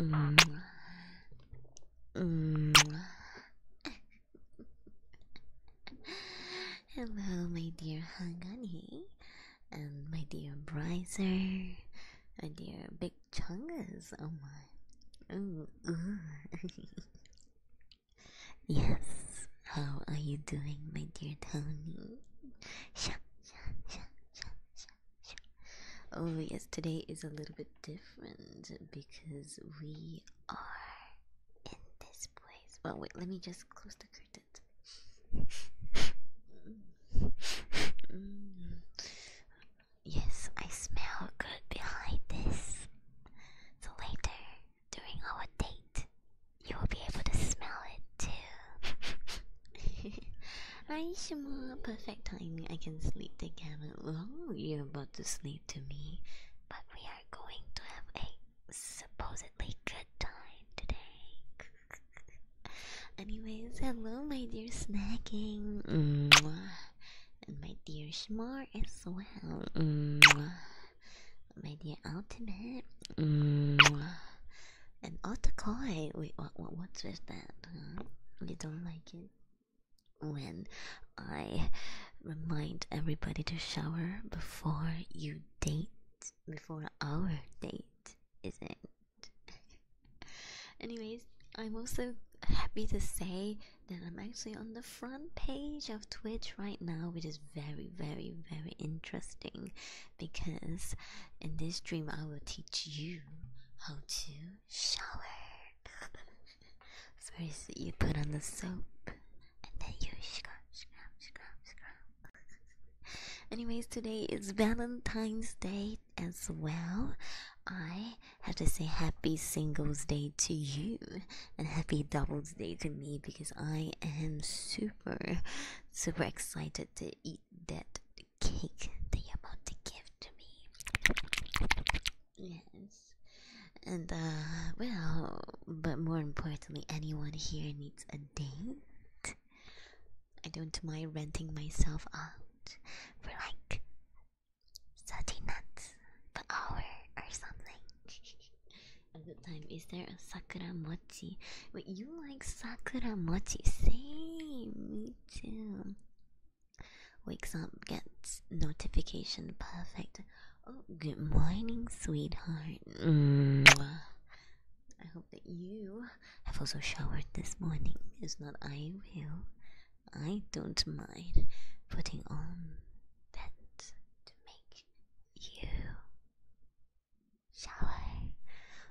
Mm. Mm. Hello, my dear Hangani, and my dear Bryser, my dear Big Chungus. Oh my! Ooh, ooh. yes. How are you doing, my dear Tony? Oh yes, today is a little bit different because we are in this place. Well, wait, let me just close the curtains. Mm. Yes, I smell good behind this. So later, during our date, you will be able to smell it too. Aishima, perfect timing. I can sleep the oh, you're about to sleep to me. But we are going to have a supposedly good time today. Anyways, hello, my dear snacking. And my dear Shmar as well. My dear Ultimate. Mwah. An autocai. Wait, what, what's with that? Huh? We don't like it when I remind everybody to shower before you date. Before our date, is it? Anyways, I'm also happy to say that I'm actually on the front page of Twitch right now, which is very, very, very interesting because in this stream I will teach you how to shower. First, you put on the soap and then you scrub, scrub, scrub, scrub. Anyways, today is Valentine's Day as well. I have to say happy Singles Day to you and happy Doubles Day to me because I am super, super excited to eat that cake that you're about to give to me. Yes. And, uh, well, but more importantly, anyone here needs a date. I don't mind renting myself out for like 30 nuts per hour or something. At the time, is there a sakura mochi? Wait, you like sakura mochi? Same, too. Wakes up, gets notification. Perfect. Oh, good morning, sweetheart. I hope that you have also showered this morning. If not, I will. I don't mind putting on that to make you shower.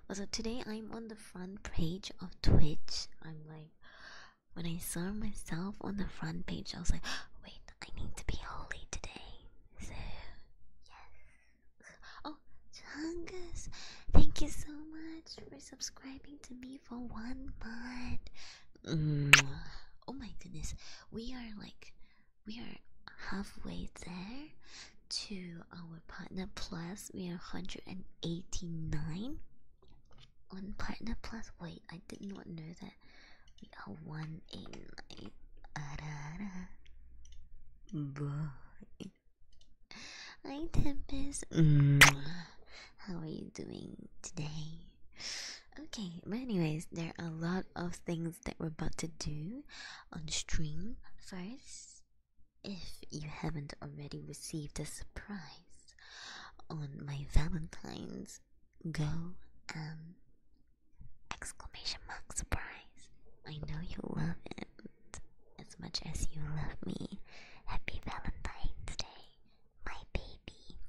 Also, today I'm on the front page of Twitch, I'm like, when I saw myself on the front page, I was like, wait, I need to be holy today. So, yes. Oh, Chungus, thank you so much for subscribing to me for one month. Mm. Oh my goodness, we are like, we are halfway there to our Partner Plus. We are 189 on Partner Plus. Wait, I did not know that. We are 189. Bye. Hi, Tempest. Mm. How are you doing today? Okay, but anyways, there are a lot of things that we're about to do on stream. First, if you haven't already received a surprise on my Valentine's, go and um, exclamation mark surprise. I know you love it as much as you love me. Happy Valentine's Day, my baby.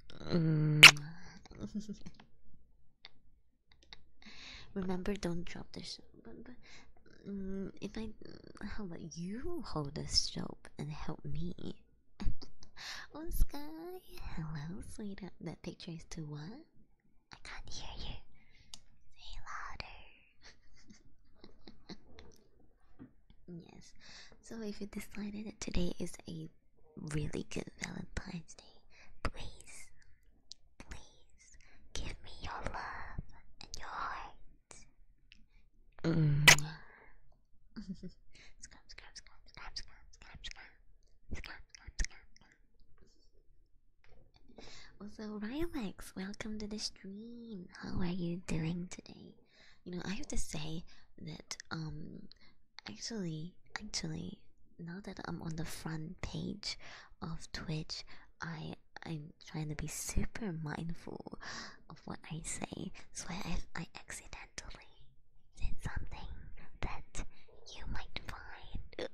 Remember, don't drop this but, but mm, if I, how about you hold the soap and help me? oh, Sky, hello, sweetheart. That picture is too what? I can't hear you. Say louder. yes. So if you decided that today is a really good Valentine's Day, please, please give me your love and your heart Mm. Scrub, scrub, Rylex, welcome to the stream. How are you doing today? You know, I have to say that, um, actually, actually, now that I'm on the front page of Twitch, I I'm trying to be super mindful of what I say, so I, I accidentally said something that you might find.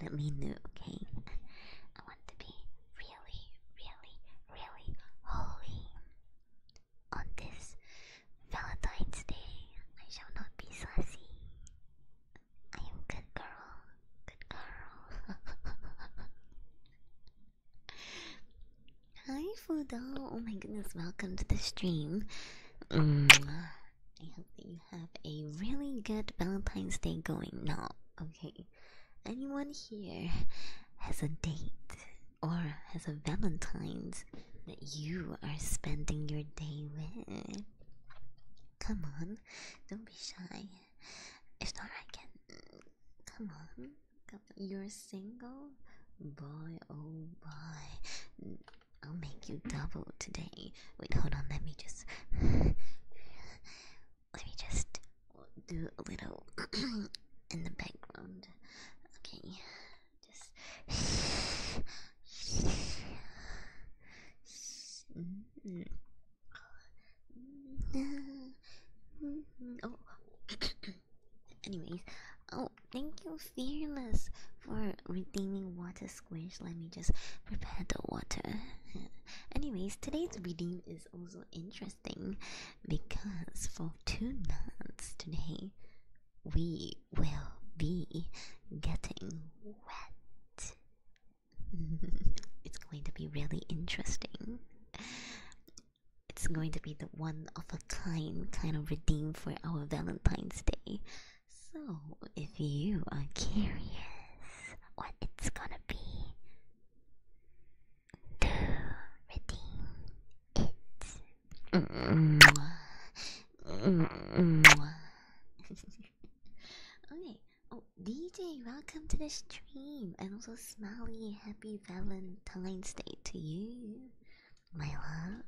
let me know, okay? I want to be really, really, really holy. On this Valentine's Day, I shall not be sassy. I am good girl. Good girl. Hi, Fudo. Oh my goodness, welcome to the stream. Mm. I hope that you have a really good Valentine's Day going now. Okay. Anyone here has a date or has a Valentine's that you are spending your day with? Come on, don't be shy. If not, I can. Come on, come on. You're single, boy. Oh boy, I'll make you double today. Wait, hold on. Let me just. Let me just do a little in the background. Okay, just. Mm. Mm. oh. Anyways, oh, thank you, Fearless, for redeeming Water Squish. Let me just prepare the water. Anyways, today's reading is also interesting because for two nights today, we will be getting wet. it's going to be really interesting. It's going to be the one of a kind kind of redeem for our Valentine's Day. So, if you are curious what it's gonna be, do redeem it. okay, Oh, DJ, welcome to the stream. And also, Smiley, happy Valentine's Day to you, my love.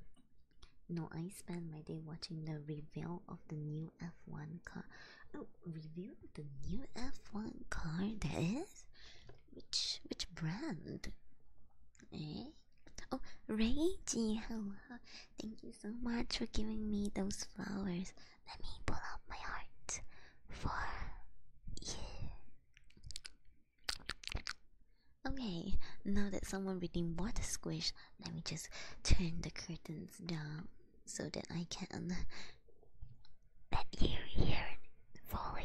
No, I spent my day watching the reveal of the new F1 car. Oh, reveal the new F1 car? That is? Which, which brand? Eh? Oh, Reggie, hello. Thank you so much for giving me those flowers. Let me pull out my heart for you. Okay, now that someone really wants to squish, let me just turn the curtains down so that I can let you hear fully.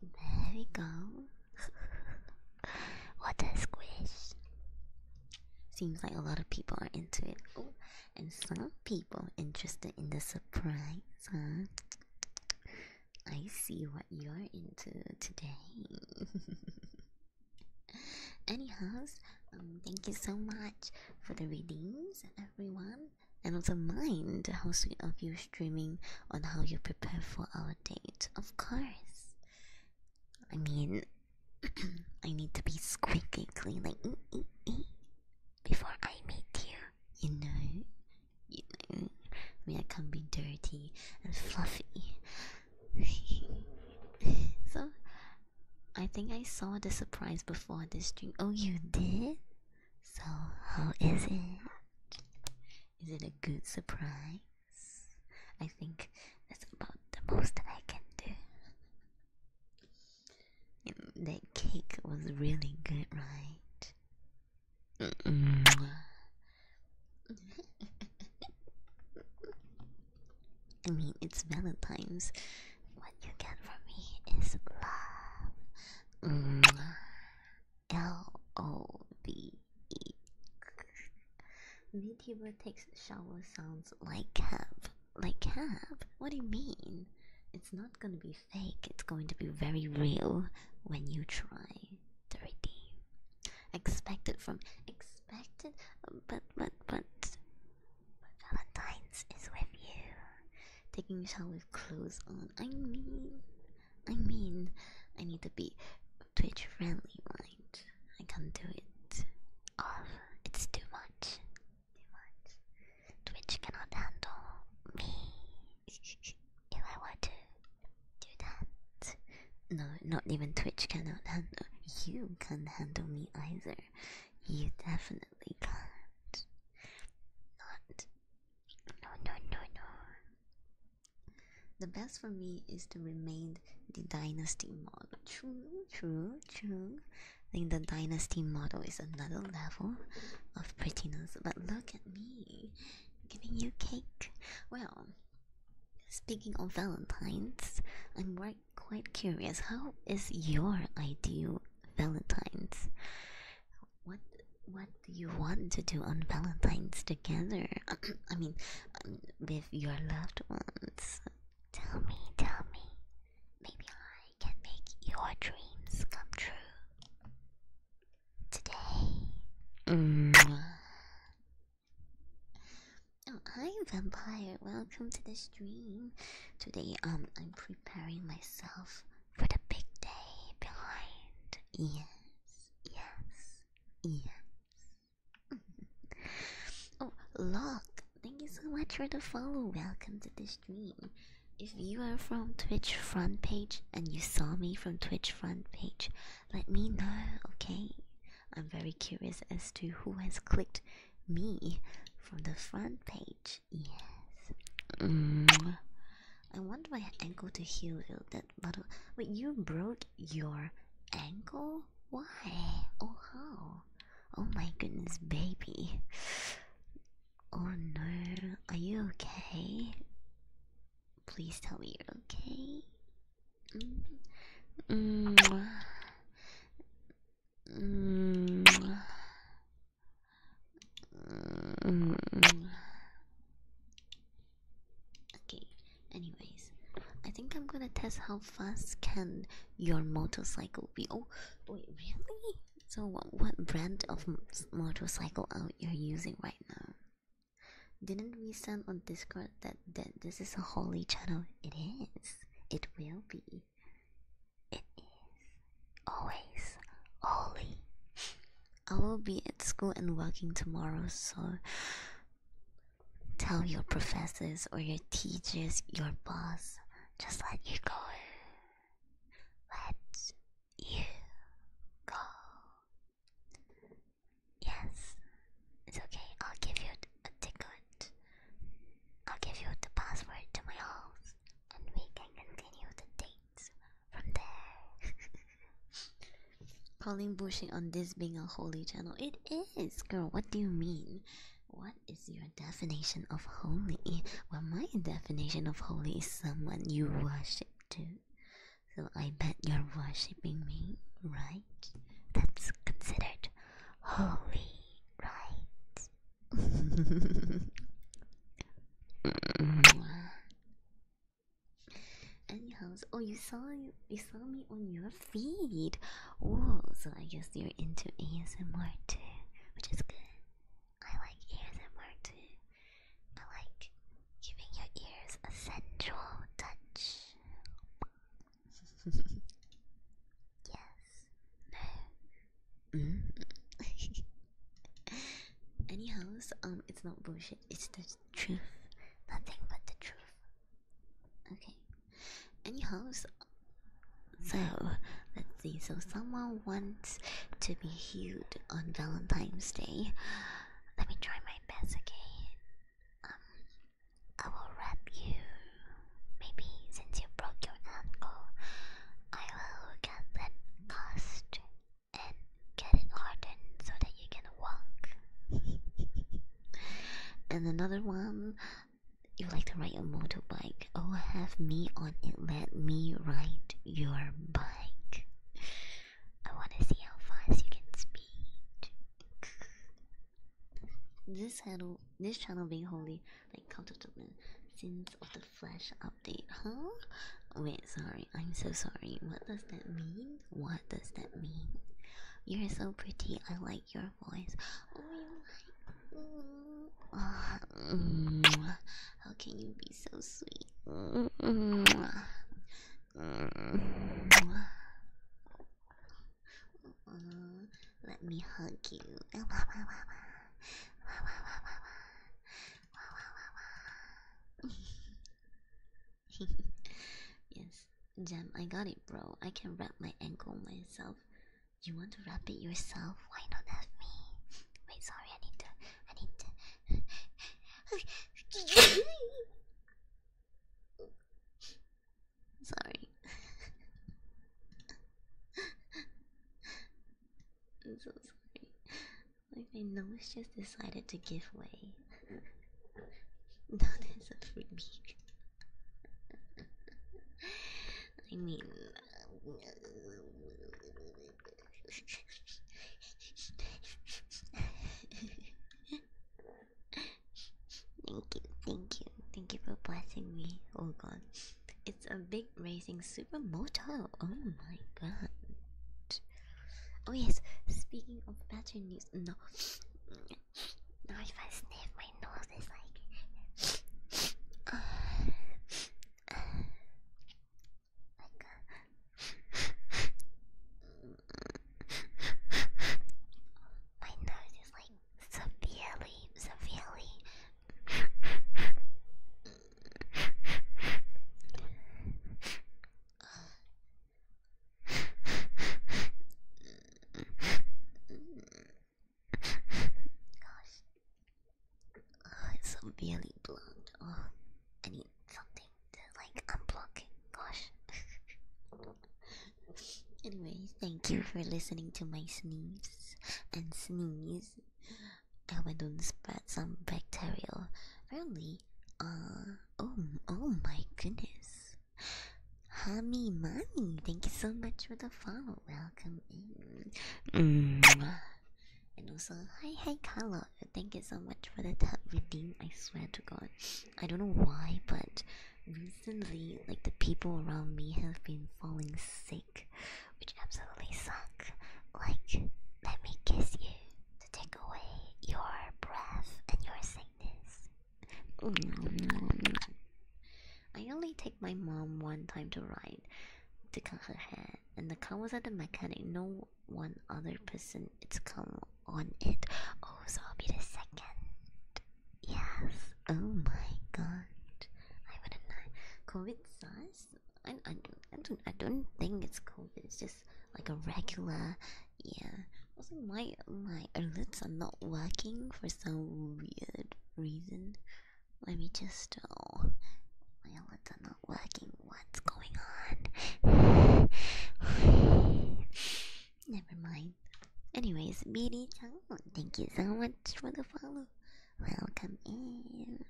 There we go. what a squish. Seems like a lot of people are into it. Oh, and some people interested in the surprise, huh? I see what you're into today. Anyhow, um, thank you so much for the readings, everyone, and also mind how sweet of you streaming on how you prepare for our date. Of course, I mean, I need to be squeaky clean, before I meet you. You know, you know, I I can't be dirty and fluffy. so I think I saw the surprise before the stream. Oh, you did? So, how is it? Is it a good surprise? I think that's about the most that I can do. And that cake was really good, right? I mean, it's Valentine's. What you get from me is love. Mwah. L O V E. VTuber takes shower sounds like have, Like have. What do you mean? It's not gonna be fake, it's going to be very real when you try to redeem. Expect from. Ex expected, but but but, but Valentine's is with you. Taking a shower with clothes on. I mean, I mean, I need to be Twitch friendly, right? I can't do it. Oh, it's too much. Too much. Twitch cannot handle me. if I were to do that, no, not even Twitch cannot handle. You can handle me either. You definitely can't. No, no, no, no. The best for me is to remain the dynasty model. True, true, true. I think the dynasty model is another level of prettiness. But look at me, giving you cake. Well, speaking of Valentine's, I'm working quite curious. How is your idea, Valentine's? What what do you want to do on Valentine's together? I mean, um, with your loved ones. Tell me, tell me. Maybe I can make your dreams come true today. Mm. Oh, hi, vampire. Welcome to the stream. Today, um, I'm preparing myself for the big day behind. Yes, yes, yes. oh, look. Thank you so much for the follow. Welcome to the stream. If you are from Twitch front page and you saw me from Twitch front page, let me know, okay? I'm very curious as to who has clicked me from the front page. Yes. Mm. I want my ankle to heal. That bottle. But you broke your ankle? Why? Oh how? Oh my goodness, baby. Oh no, are you okay? Please tell me you're okay. Mm. Mm. Mm. Okay, anyways, I think I'm gonna test how fast can your motorcycle be. Oh, wait, really? So, what, what brand of motorcycle are you using right now? Didn't we send on Discord that that this is a holy channel. It is. It will be. It is always holy. I will be at school and working tomorrow, so tell your professors or your teachers, your boss, just let you go. Let you go. Yes, it's okay. I'll give you a tickle. I'll give you the password to my house, and we can continue the dates from there. Calling bushing on this being a holy channel. It is, girl. What do you mean? What is your definition of holy? Well, my definition of holy is someone you worship to. So I bet you're worshipping me, right? That's considered holy right. Anyhow, oh, you saw you, saw me on your feed. Oh, so I guess you're into ASMR too, which is good. I like ASMR too. I like giving your ears a sensual touch. Yes. No. Mm. Anyhow, um, it's not bullshit. It's the truth. Nothing but the truth. Okay. Anyhow, so let's see. So someone wants to be healed on Valentine's Day. Let me try my best. Okay. Um, I will wrap you. Maybe since you broke your ankle, I will get that cast and get it hardened so that you can walk. and another one, you like to ride a motorbike. Oh, have me on it. Let me ride your bike. I want to see how fast you can speed. This channel, this channel being holy, like cult of the sins of the flesh update, huh? Wait, sorry, I'm so sorry. What does that mean? What does that mean? You're so pretty. I like your voice. Oh, you like. Mm. Oh, how can you be so sweet? Mm. Mm. Uh, let me hug you. yes, Jem, I got it, bro. I can wrap my ankle myself. You want to wrap it yourself? Why not have me? Wait, sorry, I need to. I need to. Sorry. I'm so sorry. Like I just decided to give way. Not a freebie. I mean, uh, Thank you, thank you, thank you for blessing me. Oh god. It's a big racing super motor. Oh my god. Oh yes, speaking of better news, no. Now if I sniff my nose, it's like... my nose is like severely, severely. Gosh, oh, it's severely blocked. Oh, I need something to like unblock. Gosh. Anyway, thank you for listening to my sneeze and sneeze. I went on don't spread some bacterial early. Uh, oh, oh my goodness. Hami Mani, thank you so much for the follow. Welcome in. Mm. And also, hi, hi, Carlo! Thank you so much for the tap redeem. I swear to God, I don't know why, but recently like the people around me have been falling sick which absolutely suck like let me kiss you to take away your breath and your sickness i only take my mom one time to ride to cut her hair and the car was at the mechanic no one other person it's come on it oh so i'll be the second Yes. Oh my god. I wouldn't know. COVID size? I, I, I don't. I don't think it's COVID. It's just like a regular. Yeah. Also, my my lips are not working for some weird reason. Let me just. Oh, my lips are not working. What's going on? Never mind. Anyways, BD chan, Oh, thank you so much for the follow. Welcome in.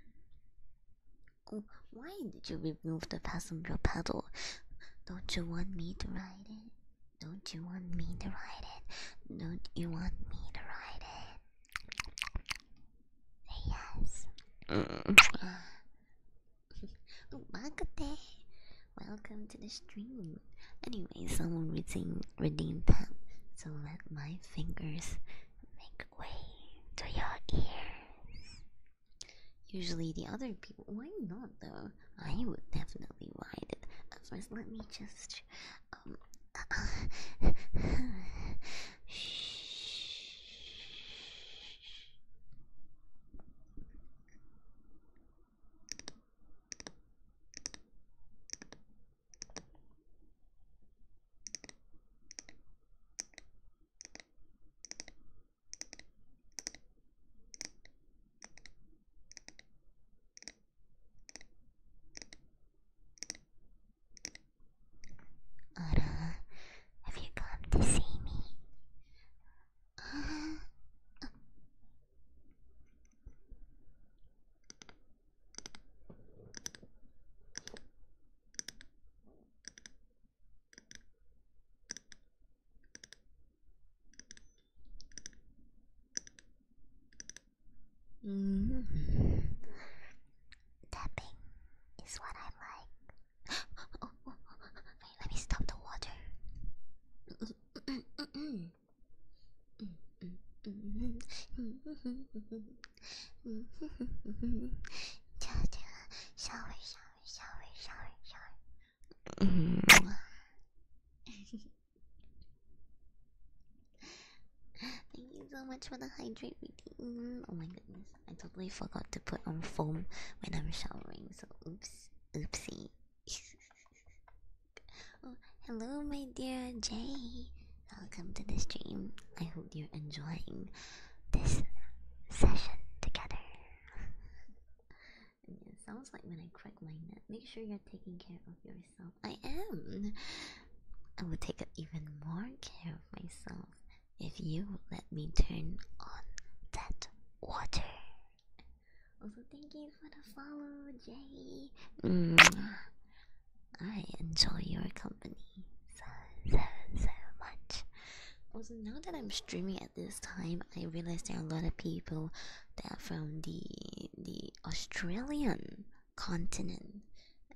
Oh, why did you remove the passenger pedal? Don't you want me to ride it? Don't you want me to ride it? Don't you want me to ride it? Say yes. Mm. Umakate. Oh, Welcome to the stream. Anyway, someone redeemed, redeemed them, so let my fingers make way to your ears. Usually, the other people. Why not though? I would definitely ride it. At first, let me just. Um, Ara, have you come to see me? Uh, Mm. Tapping is what I like. Wait, let me stop the water shower, shower, shower, shower, shower. Thank you so much for the hydrate routine. Oh my goodness, I totally forgot to put on foam when I'm showering, so oops, oopsie. Oh, hello, my dear Jay. Welcome to the stream. I hope you're enjoying this session together. it sounds like when I crack my neck. Make sure you're taking care of yourself. I am. I will take even more care of myself if you let me turn on that water. Also, thank you for the follow, Jay. Mm. I enjoy your company so, so, so much. Also, now that I'm streaming at this time, I realize there are a lot of people that from the the Australian continent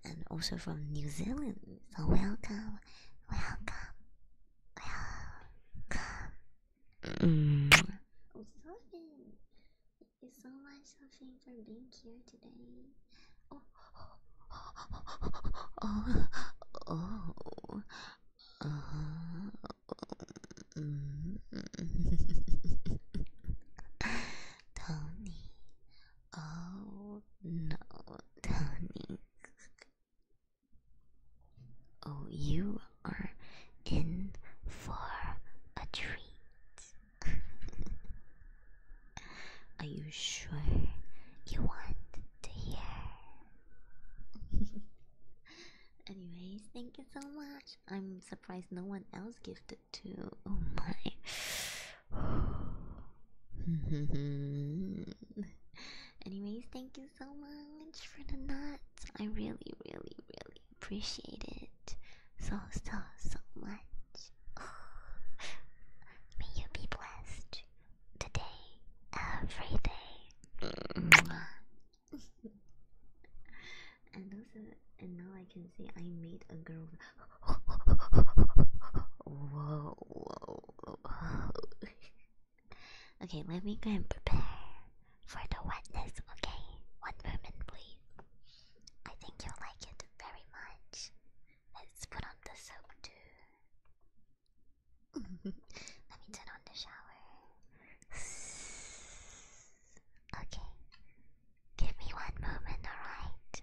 and also from New Zealand. So welcome, welcome, welcome. Mm. Oh, Thank you so much, Sophie, for being here today. Oh, oh, oh, oh. Uh, mm. Tony, oh no, Tony. Oh, you are in for a treat. Are you sure you want to hear? Anyways, thank you so much. I'm surprised no one else gifted too. Oh my. Anyways, thank you so much for the nuts. I really, really, really, appreciate it so, so, so much. May you be blessed today, every day. and now I can say I made a girl. whoa. okay, let me go and prepare for the wetness, okay? One moment, please. I think you'll like it very much. Let's put on the soap too. Let me turn on the shower. Okay. Give me one moment, alright?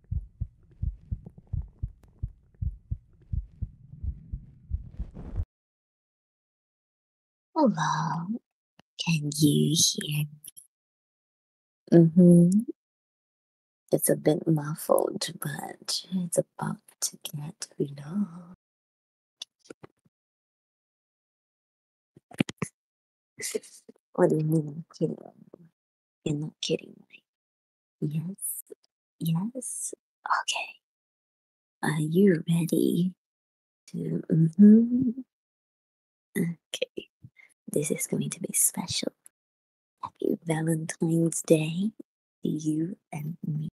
Hello, can you hear me? Mm-hmm. It's a bit muffled, but it's about to get resolved. What do you mean, kidding? You're not kidding me. Yes, yes. Okay. Are you ready to? Mm-hmm. Okay. This is going to be special. Happy Valentine's Day to you and me.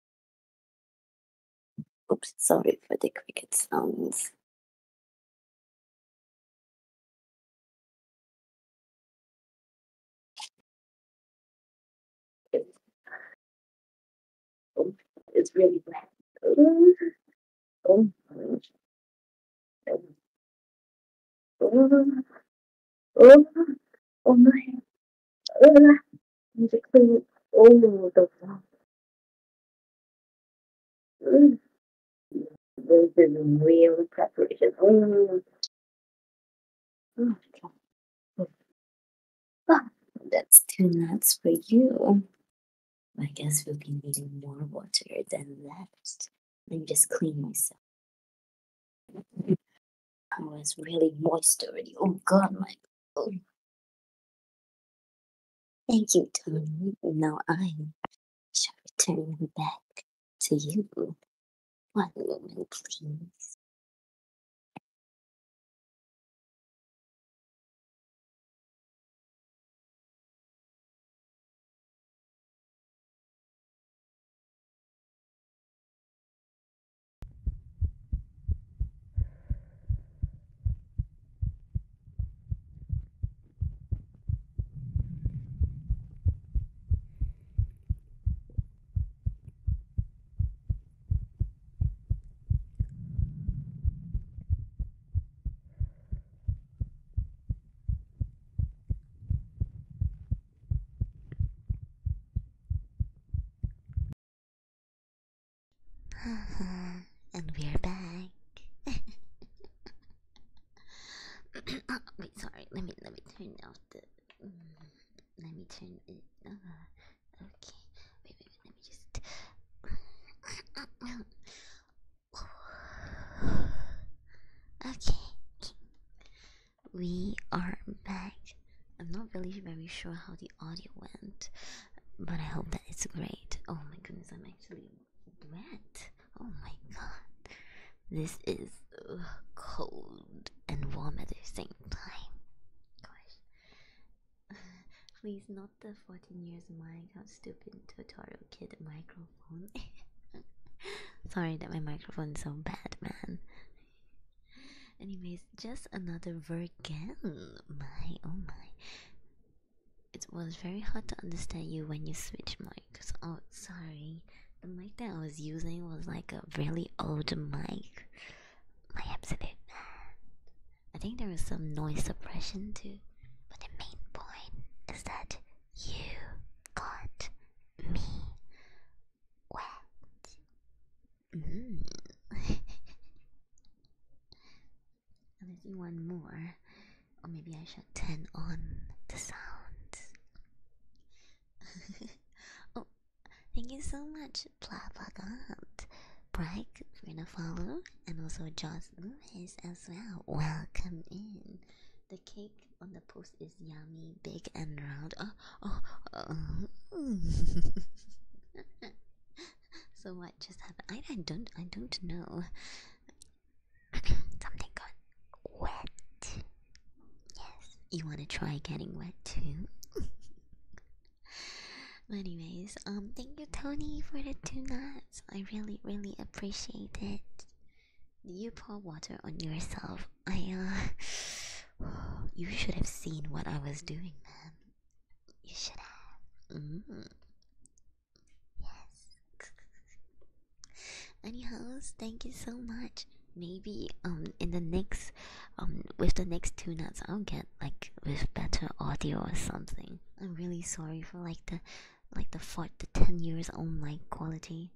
Oops, sorry for the cricket sounds. It's, really bad. Oh, oh, oh, oh, my. Oh, need to clean the this is real preparation. Oh, okay. Well, that's two nuts for you. I guess we'll be needing more water than that. Let me just clean myself. I was really moist already. Oh god, my oh. Thank you, Tony. Now I shall return back to you. One moment, please. Uh-huh. and we're back. Oh, wait, sorry. Let me let me turn off the. Mm, let me turn it. Uh, okay. Let me just. okay. We are back. I'm not really very sure how the audio went, but I hope that it's great. Oh my goodness, I'm actually Brett. Oh my god. This is cold and warm at the same time. Gosh. Please, not the 14 years mic. How stupid tutorial kid microphone. Sorry that my microphone is so bad, man. Anyways, just another Virgin. My, oh my. It was very hard to understand you when you switch mics. Oh, sorry the mic that I was using was like a really old mic. My absolute man. I think there was some noise suppression too. But the main point is that you got me wet. Mm. and I do one more. Or maybe I should turn on the sound. oh, thank you so much, Plabagot, Bragg for the follow, and also Josh Lewis as well. Welcome in. The cake on the post is yummy, big and round. Oh, oh, oh. so what just happened? I, I don't I don't know. Something got wet. Yes, you want to try getting wet too? but anyways, um, thank you Tony for the two nuts. I really, really appreciate it. you pour water on yourself? I, uh, you should have seen what I was doing, man. You should have. Mm-hmm. Yes. Anyhow, thank you so much. Maybe um in the next um with the next two nuts I'll get like with better audio or something. I'm really sorry for like the like the four the ten years on mic quality.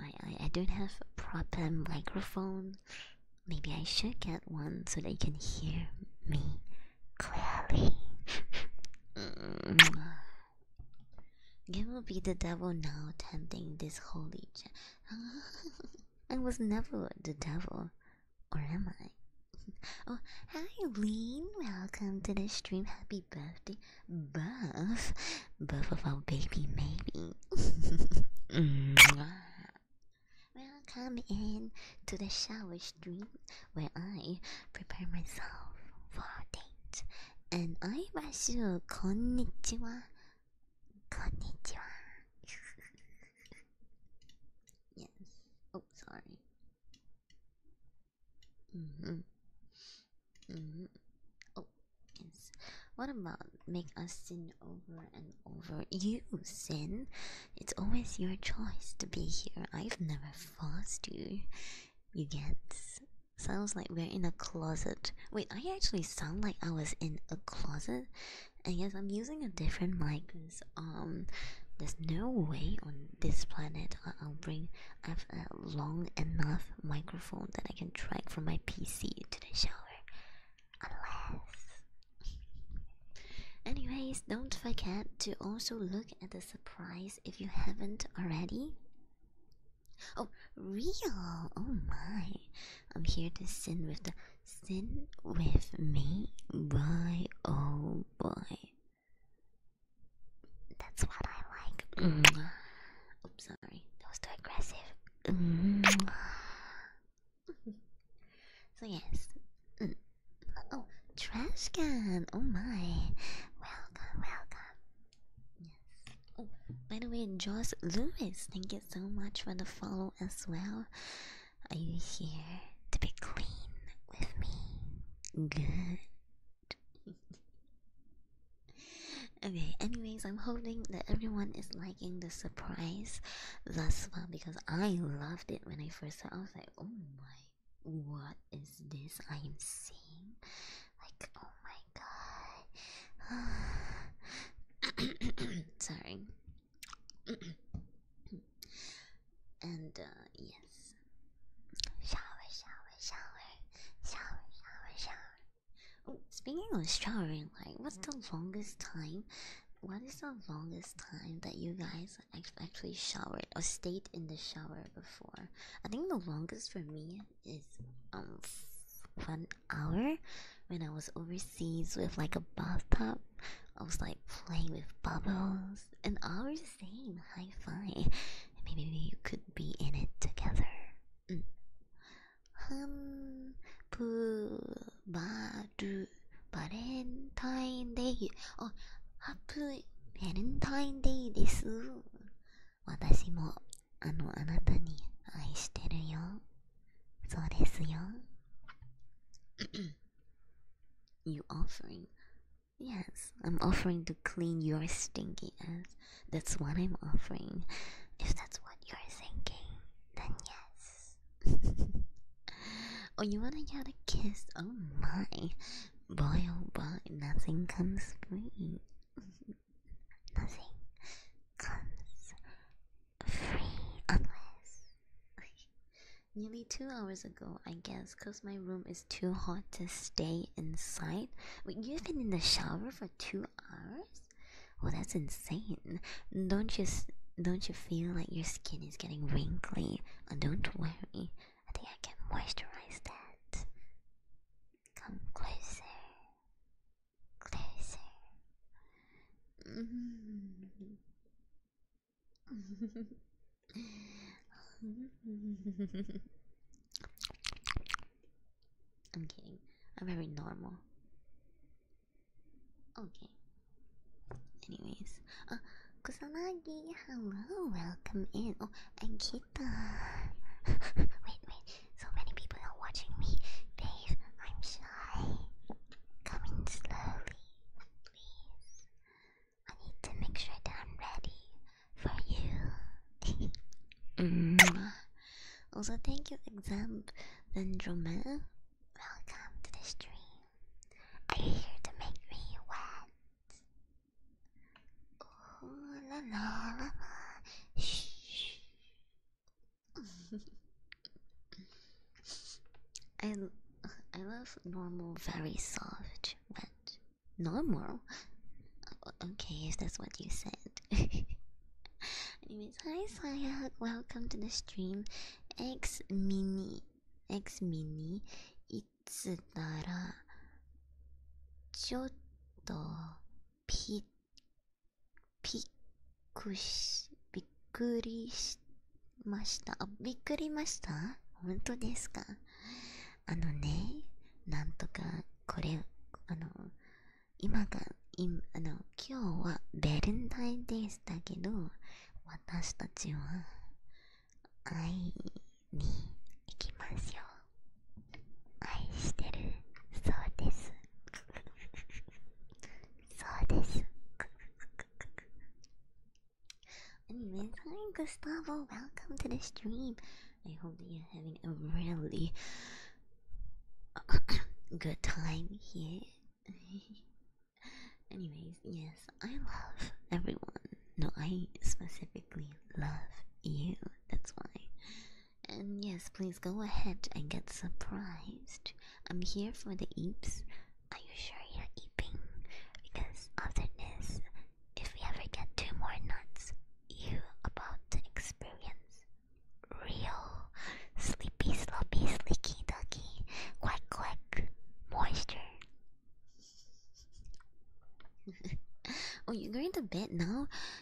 I, I I don't have a proper microphone. Maybe I should get one so they can hear me clearly. Mm. It will be the devil now tempting this holy I was never the devil, or am I? Oh, hi, Lean! Welcome to the stream. Happy birthday, Buff! Buff of our baby, maybe. Welcome in to the shower stream where I prepare myself for a and I wish you konnichiwa. Konnichiwa. yes. Oh, sorry. hmm hmm Oh, yes. What about make us sin over and over? You sin. It's always your choice to be here. I've never forced you. You get Sounds like we're in a closet. Wait, I actually sound like I was in a closet. And yes, I'm using a different mic because um, there's no way on this planet I'll bring I have a long enough microphone that I can drag from my PC to the shower. Unless. Anyways, don't forget to also look at the surprise if you haven't already. Oh, real! Oh my! I'm here to sin with the sin with me, boy. Oh boy, that's what I like. Mm. Oops, sorry, that was too aggressive. Mm. so yes. Mm. Oh, trash can! Oh my! Welcome, welcome. Oh, by the way, Joss Lewis, thank you so much for the follow as well. Are you here to be clean with me? Good. okay, anyways, I'm hoping that everyone is liking the surprise thus far because I loved it when I first saw it. I was like, oh my, what is this I am seeing? Like, oh my Sorry. and uh, yes. Shower, shower, shower. Shower, shower, shower. Oh, speaking of showering, like, what's the longest time? What is the longest time that you guys actually showered or stayed in the shower before? I think the longest for me is um one hour when I was overseas with like a bathtub. I was like playing with bubbles. An hour is the same. Hi fi. Maybe you could be in it together. Mm. Um, 바르 Valentine Day. Oh, Happy Valentine Day です。私もあのあなたに愛してるよそうですよ You offering? Yes, I'm offering to clean your stinky ass. That's what I'm offering. If that's what you're thinking, then yes. oh, you wanna get a kiss? Oh my. Boy, oh boy, nothing comes free. Nothing comes free unless. Nearly two hours ago, I guess, because my room is too hot to stay inside. Wait, you've been in the shower for two hours? Well, that's insane. Don't you don't you feel like your skin is getting wrinkly? Uh, don't worry. I think I can moisturize that. Come closer, closer. I'm kidding. I'm very normal. Okay. Anyways, uh, Kusanagi, hello, welcome in. Oh, and wait, wait. So many people are watching me. Dave, I'm shy. Come slowly, please. I need to make sure that I'm ready for you. Mm. Also, thank you, Exam Benjamin. Welcome to the stream. Are you here to make me wet? I, I love normal, very soft, wet. Normal? Okay, if that's what you said. Anyways, hi Sayag, welcome to the stream. X Mini, X Mini, it's ピびっくりしましたあびっくりました本当ですかあのねなんとかこれあの今が今あの今日はベルンタインデーだけど私たちは愛に行きますよ愛してるそうです。そうです。Anyways, hi Gustavo, welcome to the stream. I hope that you're having a really good time here. Anyways, yes, I love everyone. No, I specifically love you. That's why and yes, please go ahead and get surprised. I'm here for the eeps. Are you sure you're eeping? Because after this, if we ever get two more nuts, you about to experience real sleepy, sloppy, slicky, ducky, quack, quack moisture. oh, you're going to bed now?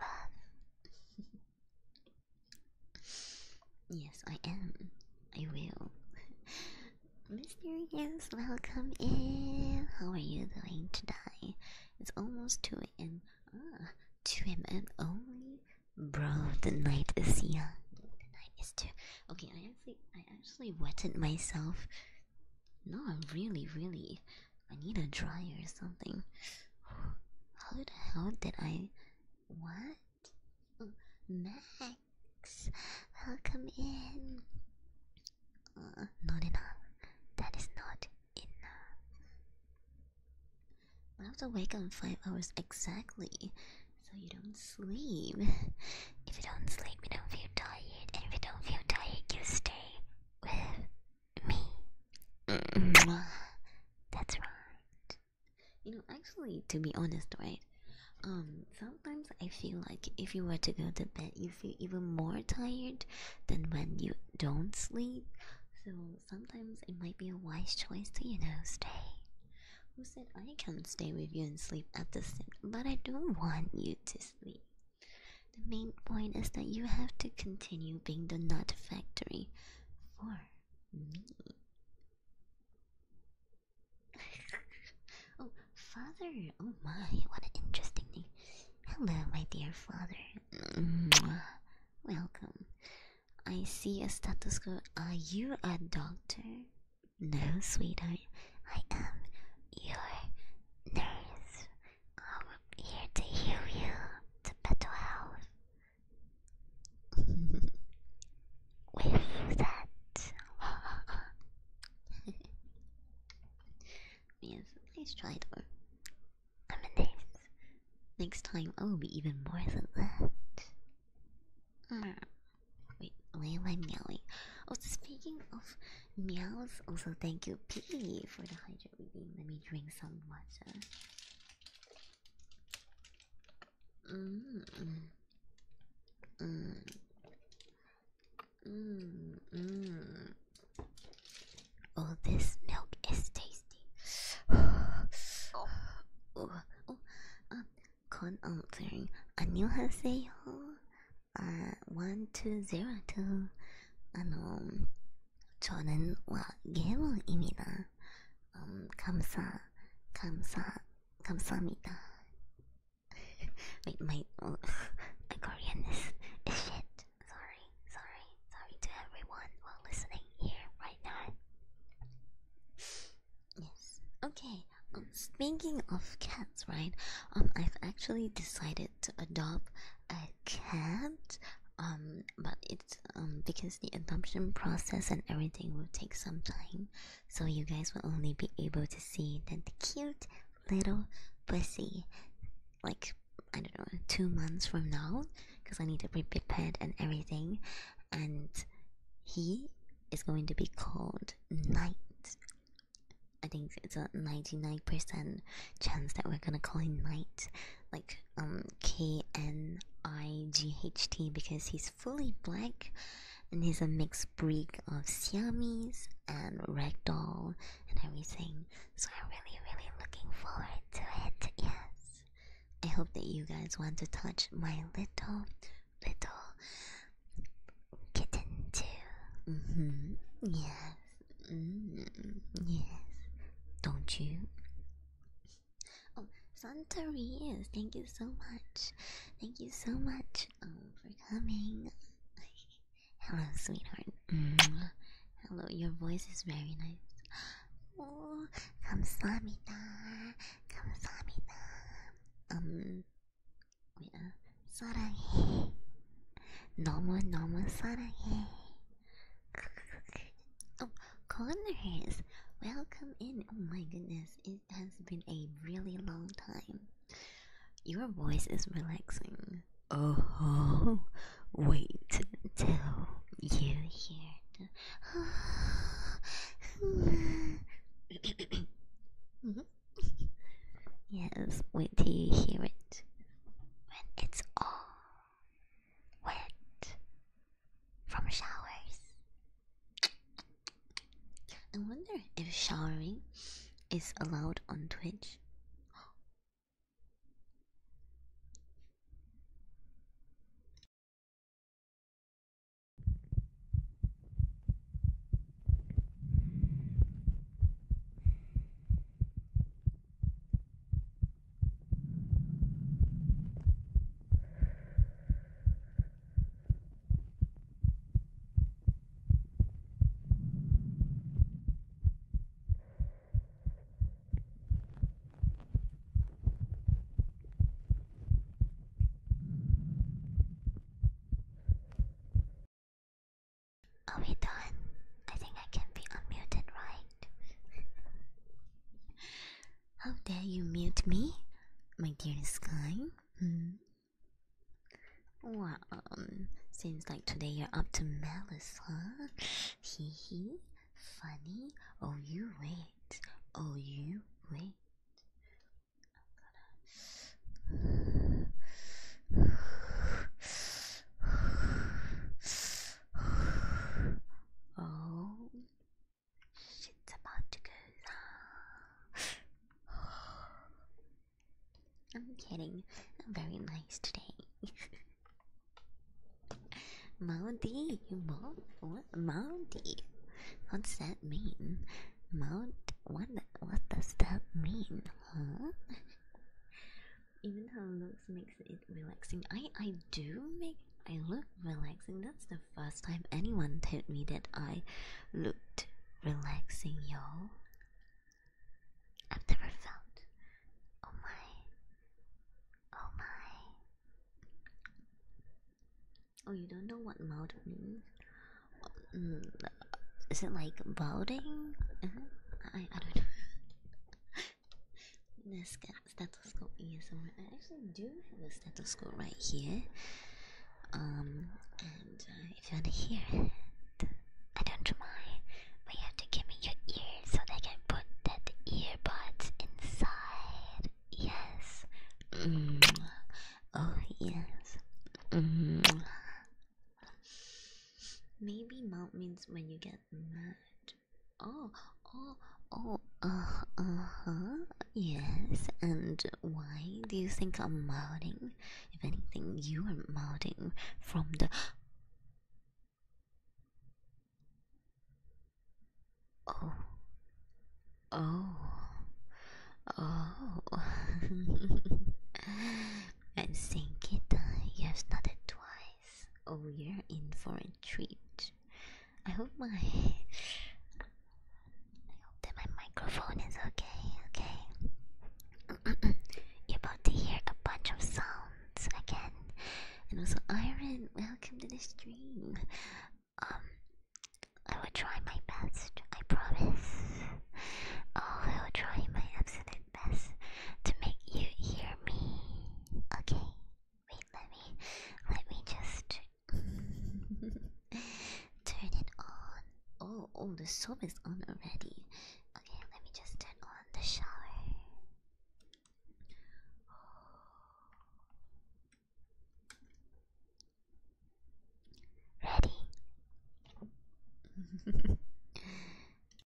um, yes, I am. I will. Mysterious, welcome in. How are you doing today? It's almost 2 a.m. Ah, 2 a.m. only? Bro, the night is here. The night is too. Okay, I actually, I actually wetted myself. No, I'm really, really. I need a dryer or something. How the hell did I. What? Oh, Max, welcome in. Uh, not enough. That is not enough. I have to wake up five hours exactly, so you don't sleep. If you don't sleep, you don't feel tired, and if you don't feel tired, you stay with me. That's right. You know, actually, to be honest, right? Um, sometimes I feel like if you were to go to bed, you feel even more tired than when you don't sleep. So sometimes it might be a wise choice to, you know, stay. Who said I can not stay with you and sleep at the same? But I don't want you to sleep. The main point is that you have to continue being the nut factory for me. oh, father! Oh my, what an interesting name. Hello, my dear father. Welcome. I see a status quo. Are you a doctor? No, sweetheart. I am your nurse. I'm here to heal you to better health. With that. yes, try though. i Next time I'll oh, be even more than that. Hmm. Wait, where am I meowing? Oh, speaking of meows, also thank you, P, for the hydrate. Let me drink some water. Mm. Mm. Mm. Mm. Oh, this milk is tasty. oh. Oh. Oh. Um, code answering. 안녕하세요. Uh, one two zero two. あの 저는 와 예원입니다. 음, 감사, 감사, 감사합니다. my, my, oh, my Korean is, is shit. Sorry, sorry, sorry to everyone while listening here right now. Yes. Okay. Um, speaking of cats, right? Um, I've actually decided to adopt a can't. Um, but it's um because the adoption process and everything will take some time, so you guys will only be able to see that cute little pussy, like I don't know, two months from now, because I need to be prepared and everything, and he is going to be called Night. I think it's a 99% chance that we're gonna call him Night. Like, um, K N I G H T because he's fully black and he's a mixed breed of Siamese and Ragdoll and everything. So I'm really, really looking forward to it. Yes. I hope that you guys want to touch my little, little kitten too. hmm. Yes. Mm-hmm. yes, don't you? Oh, Suntory, yes, thank you so much. Thank you so much um, for coming. Hello, sweetheart. Mm-hmm. Hello, your voice is very nice. Oh, 감사합니다. 감사합니다. Um, wait, uh, 사랑해. 너무 너무 사랑해 oh, Connors, welcome in. Oh my goodness, it has been a really long time. Your voice is relaxing. Oh, wait till you hear mm-hmm. yes, wait till you hear it. When it's all wet from showers. I wonder if showering is allowed on Twitch. Are we done? I think I can be unmuted, right? How dare you mute me, my dearest Sky? Hmm? Wow, um, seems like today you're up to malice, huh? Hee hee, funny. Oh, you wait. Oh, you wait. oh, shit's about to go down. I'm kidding. I'm very nice today. Mounty, you what, Mounty? What's that mean? Mount, what, what does that mean, huh? even how it looks makes it relaxing. I I do make I look relaxing. That's the first time anyone told me that I looked relaxing, y'all. I've never felt. Oh my. Oh my. Oh, you don't know what mouth means? Mm, is it like balding? Uh-huh. I I don't know. Nesca, stethoscope here somewhere. I actually do have a stethoscope right here. Um, and uh, if you want to hear it, I don't mind, but you have to give me your ear so they can put that earbud inside. Yes. -hmm. Oh yes. -hmm. Maybe mouth means when you get mad. Oh, oh, oh, uh, huh, yes. And why do you think I'm mounting? If anything, you are mounting from the. Oh. Oh. Oh. I'm thinking you have nodded twice. Oh, you're in for a treat. I hope my I hope that my microphone is okay. Okay. You're about to hear a bunch of sounds again. And also, Iron, welcome to the stream. Um, I will try my best. I promise. Oh, I will try my absolute best to make you hear me. Okay. Wait, let me let me just turn it on. Oh, oh, the soap is on already. Okay, let me just turn on the shower. Ready?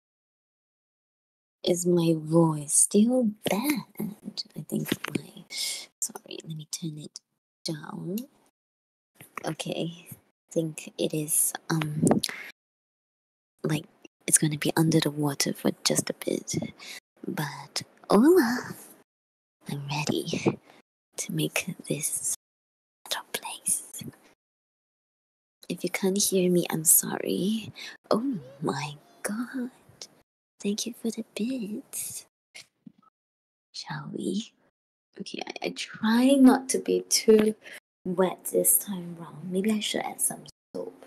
Is my voice still bad? I think my. Sorry, let me turn it down. Okay, I think it is um like it's gonna be under the water for just a bit, but hola, I'm ready to make this better place. If you can't hear me, I'm sorry. Oh my god. Thank you for the bits. Shall we? Okay, I, try not to be too wet this time round. Maybe I should add some soap.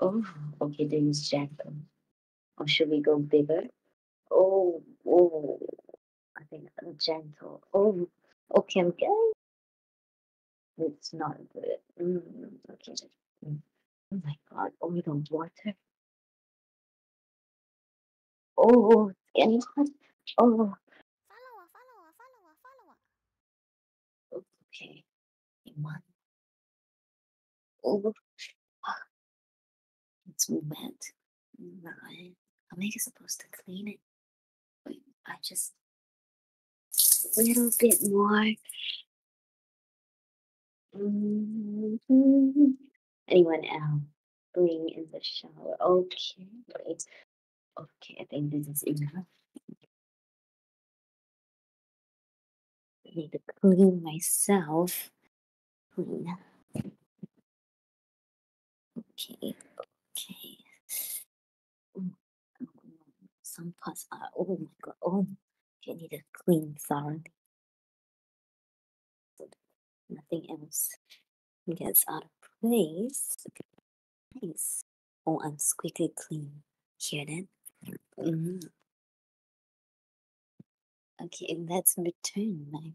Oh, okay, then it's gentle. Or should we go bigger? Oh, oh, I think I'm gentle. Oh, okay, I'm getting it's not good. Mm, okay. Mm. Oh my god, only the water. Oh, oh skinny pot. Oh. Follow her, follow her, follow her, follow her. Okay. Iman. Oh. It's wet. Am I supposed to clean it? I just a little bit more. Mm-hmm. Anyone else? Bring in the shower. Okay, Okay, I think this is enough. I need to clean myself. Clean. Okay, okay some parts are uh, oh my god, oh you need to clean thoroughly. nothing else gets out of place. Nice. Oh, I'm squeaky clean. Hear that? hmm Okay, let's return back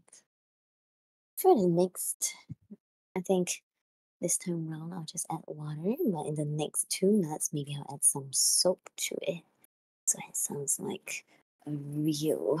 for the next I think this time round I'll just add water, but in the next two nuts, maybe I'll add some soap to it. So it sounds like a real.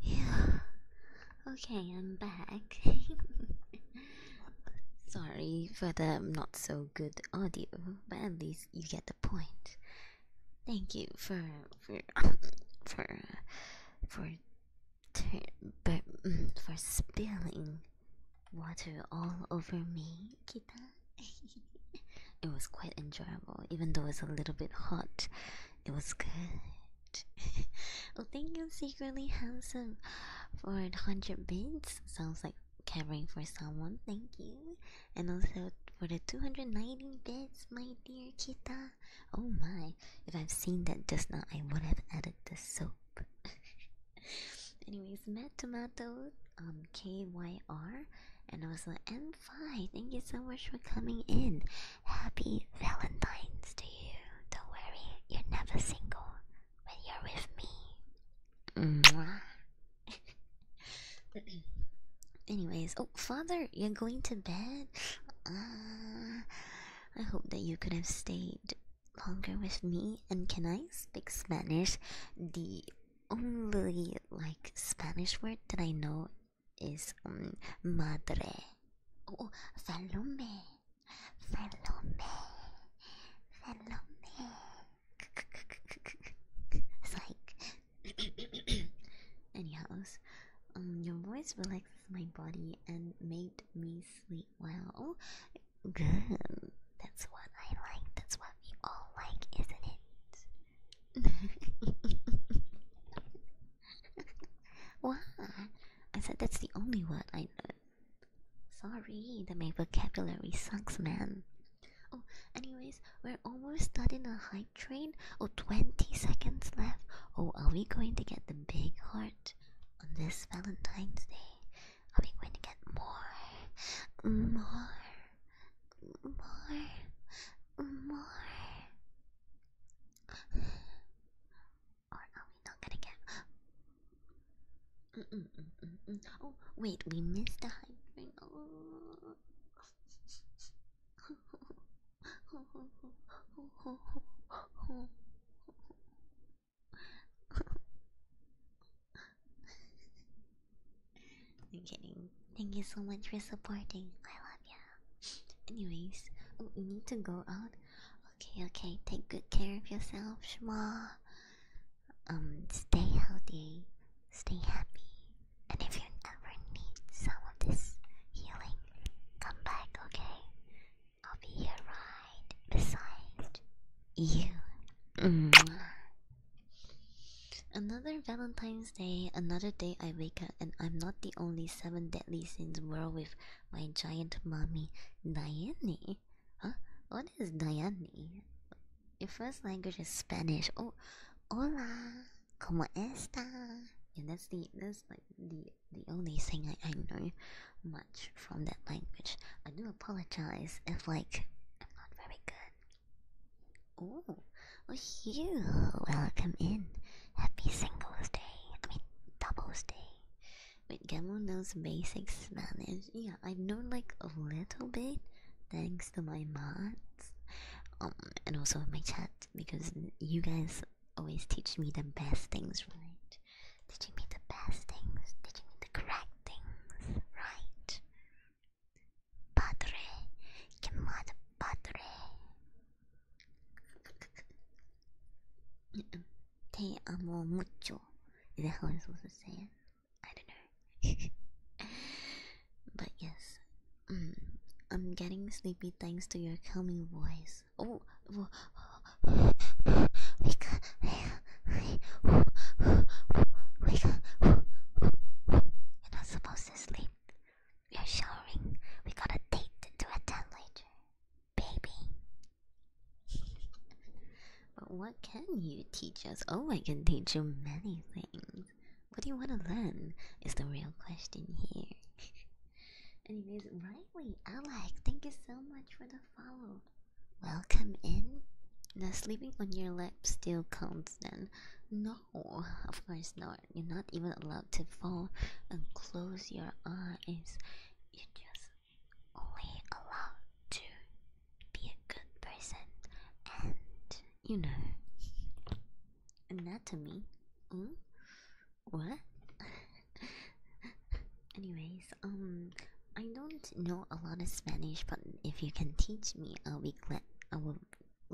Yeah. Okay, I'm back. Sorry for the not so good audio, but at least you get the point. Thank you for for for for for, mm, for spilling water all over me, Kita. it was quite enjoyable, even though it's a little bit hot. It was good. well, thank you, secretly handsome, for 100 bits. Sounds like caring for someone. Thank you, and also for the 290 bits, my dear Kita. Oh my! If I've seen that just now, I would have added the soap. Anyways, Matt Tomato on um, KYR and also M5. Thank you so much for coming in. Happy Valentine's to you. Don't worry, you're never single when you're with me. Anyways, oh father, you're going to bed. Uh, I hope that you could have stayed longer with me, and can I speak Spanish? The only like Spanish word that I know is um, madre. Oh, Salome, Salome, Salome. Psych. Anyhow, um, your voice relaxes my body and made me sleep. Well, good. That's what I like. That's what we all like, isn't it? what? I said that's the only word I know. Sorry, that my vocabulary sucks, man. Oh, anyways, we're almost starting a hype train. Oh, 20 seconds left. Oh, are we going to get the big heart on this Valentine's Day? Are we going to get more? More? More? More? Or are we not gonna get. Mm -mm -mm -mm. mm. Oh, wait, we missed the hype train. Oh. I'm kidding. Thank you so much for supporting. I love you. Anyways, oh, you need to go out. Okay, okay. Take good care of yourself, Shma. Um, stay healthy, stay happy, and if you ever need some of this healing, come back. Okay. I'll be here right beside you. Mm-hmm. Another Valentine's Day, another day I wake up and I'm not the only seven deadly sins world with my giant mommy, Diane. Huh? What is Diane? Your first language is Spanish. Oh, hola, como esta? And that's the that's like the the only thing I, I know from that language. I do apologize if like I'm not very good. Oh, you welcome in. Happy Singles Day. I mean Doubles Day. Wait, Gamble knows basic Spanish. Yeah, I know like a little bit thanks to my mods. Um, and also my chat because you guys always teach me the best things, right? Did you mean the best things? Did you mean the correct things? Right. Padre. Que mad padre. Te amo mucho. Is that how I'm supposed to say it? I don't know. but yes. Mm. I'm getting sleepy thanks to your calming voice. Oh, we up, wake up. are not supposed to sleep. We are showering. We got a date to attend later, baby. but what can you teach us? Oh, I can teach you many things. What do you want to learn? Is the real question here. Anyways, right rightly, Alec, thank you so much for the follow. Welcome in. The sleeping on your lap still counts then. No, of course not. You're not even allowed to fall and close your eyes. You're just only allowed to be a good person and, you know, anatomy. Mm? What? Anyways, um, I don't know a lot of Spanish, but if you can teach me, I'll be glad. I will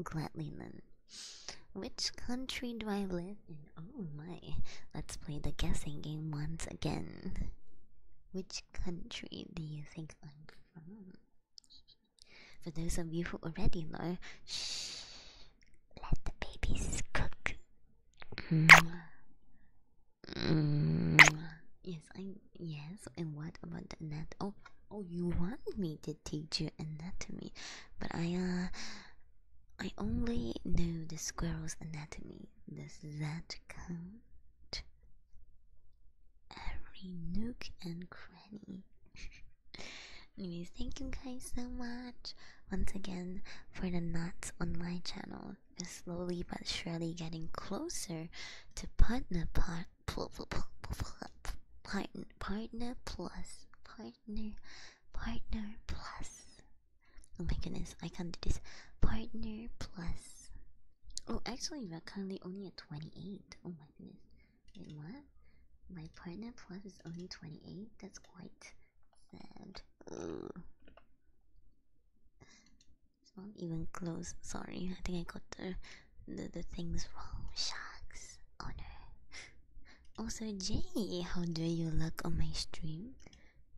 gladly learn. Which country do I live in? Oh my! Let's play the guessing game once again. Which country do you think I'm from? For those of you who already know, shh, let the babies cook. Mm, yes, I yes. And what about the anatomy? Oh, oh, you want me to teach you anatomy, but I uh, I only know the squirrel's anatomy. Does that count? Every nook and cranny. Anyways, thank you guys so much once again for the nuts on my channel slowly but surely getting closer to partner part partner partner plus partner partner plus. Oh my goodness, I can't do this. Partner plus. Oh, actually, we're currently only at twenty-eight. Oh my goodness. Wait, what? My partner plus is only twenty-eight. That's quite sad. It's not even close. Sorry, I think I got the the, things wrong. Sharks. Oh no. Also, Jay, how do you look on my stream?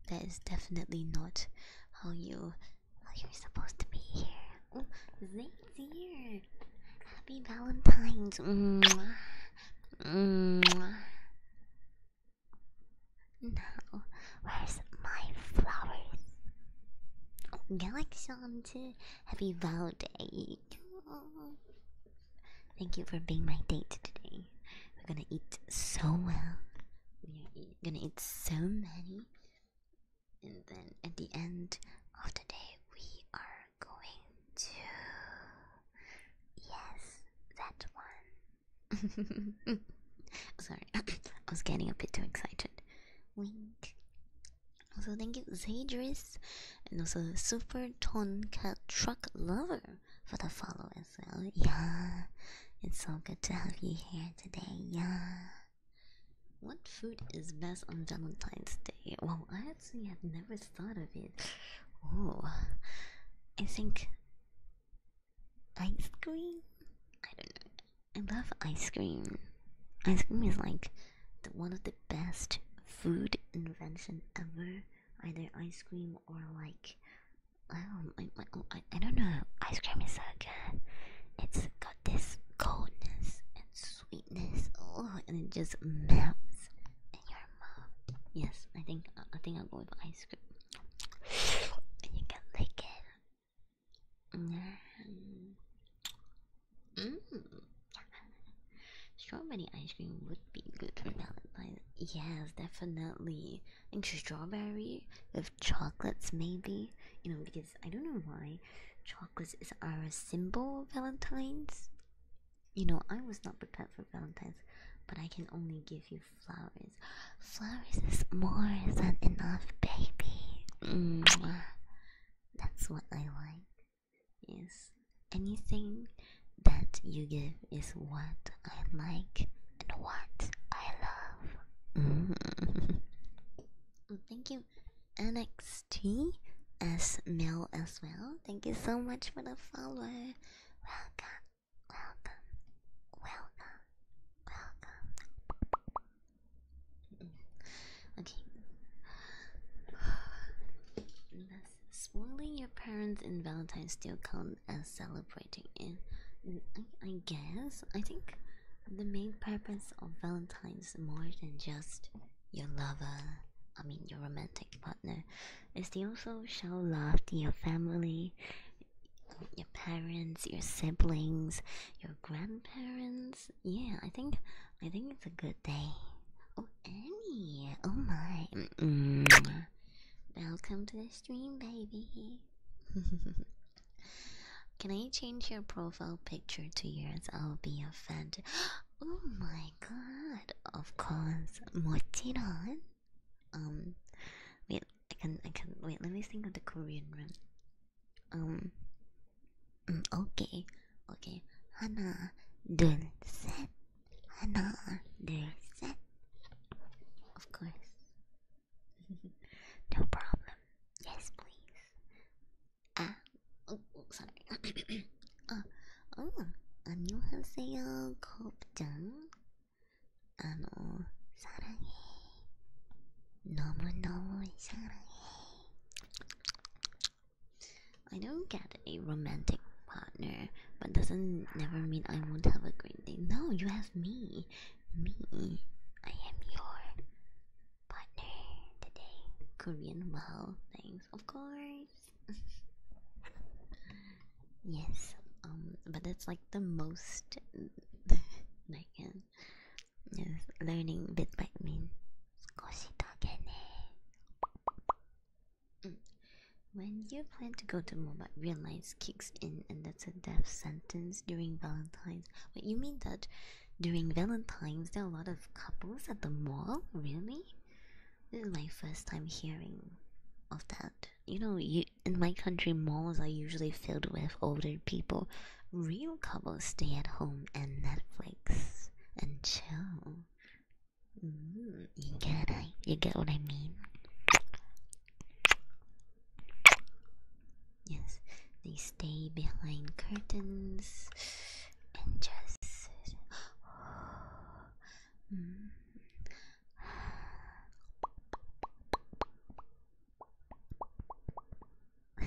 That is definitely not how you how you're supposed to be here. Oh, Zane's here. Happy Valentine's. Mwah. Mwah. Now, where's my flowers? Oh, Galaxion Happy vow day. Thank you for being my date today. We're gonna eat so well. We are gonna eat so many. And then at the end of the day, we are going to. Yes, that one. Sorry, I was getting a bit too excited. Wink. Also, thank you, Zadris, and also Super Ton Cat Truck Lover for the follow as well. Yeah, it's so good to have you here today. Yeah. What food is best on Valentine's Day? Well, I actually had never thought of it. Oh, I think ice cream? I don't know. I love ice cream. Ice cream is like one of the best food invention ever. Either ice cream or like oh, I, I don't know. Ice cream is so good. It's got this coldness and sweetness. Oh, and it just melts in your mouth. Yes, I think I think I'll go with ice cream. And you can lick it. Mm. Strawberry ice cream would be good for Valentine's. Yes, definitely. And strawberry with chocolates, maybe. You know, because I don't know why chocolates is our symbol of Valentine's. You know, I was not prepared for Valentine's, but I can only give you flowers flowers. is more than enough, baby. That's what I like. Yes, anything that you give is what I like and what I love. Mm-hmm. Thank you, NXT as Mel as well. Thank you so much for the follow. Welcome welcome, welcome, welcome. okay. Does spoiling your parents in Valentine's still count as celebrating it? I, I guess. I think the main purpose of Valentine's more than just your lover, I mean your romantic partner, is to also show love to your family your parents, your siblings, your grandparents. Yeah, I think I think it's a good day. Oh, Annie! Oh my! Mm-hmm. Welcome to the stream, baby. Can I change your profile picture to yours? I'll be offended. Oh my god! Of course, mochiron. Um, with I can I can wait. Let me think of the Korean one. Um. Mm, okay. Okay. 하나, 둘, 셋. 하나, 둘, 셋. Of course. no problem. Yes, please. Ah. Oh, oh sorry. uh, oh. 안녕하세요, 곱장. I don't get a romantic partner but doesn't never mean I won't have a great day no you have me me I am your partner today Korean wow things, of course yes um but that's like the most like uh, on. learning bit by bit. 少しだけね. Mm. When you plan to go to MOBA, realize kicks in and that's a death sentence during Valentine's. But you mean that during Valentine's there are a lot of couples at the mall? Really? This is my first time hearing of that. You know, you in my country malls are usually filled with older people. Real couples stay at home and Netflix and chill. Mm, you get it? You get what I mean? Yes, they stay behind curtains and just. mm.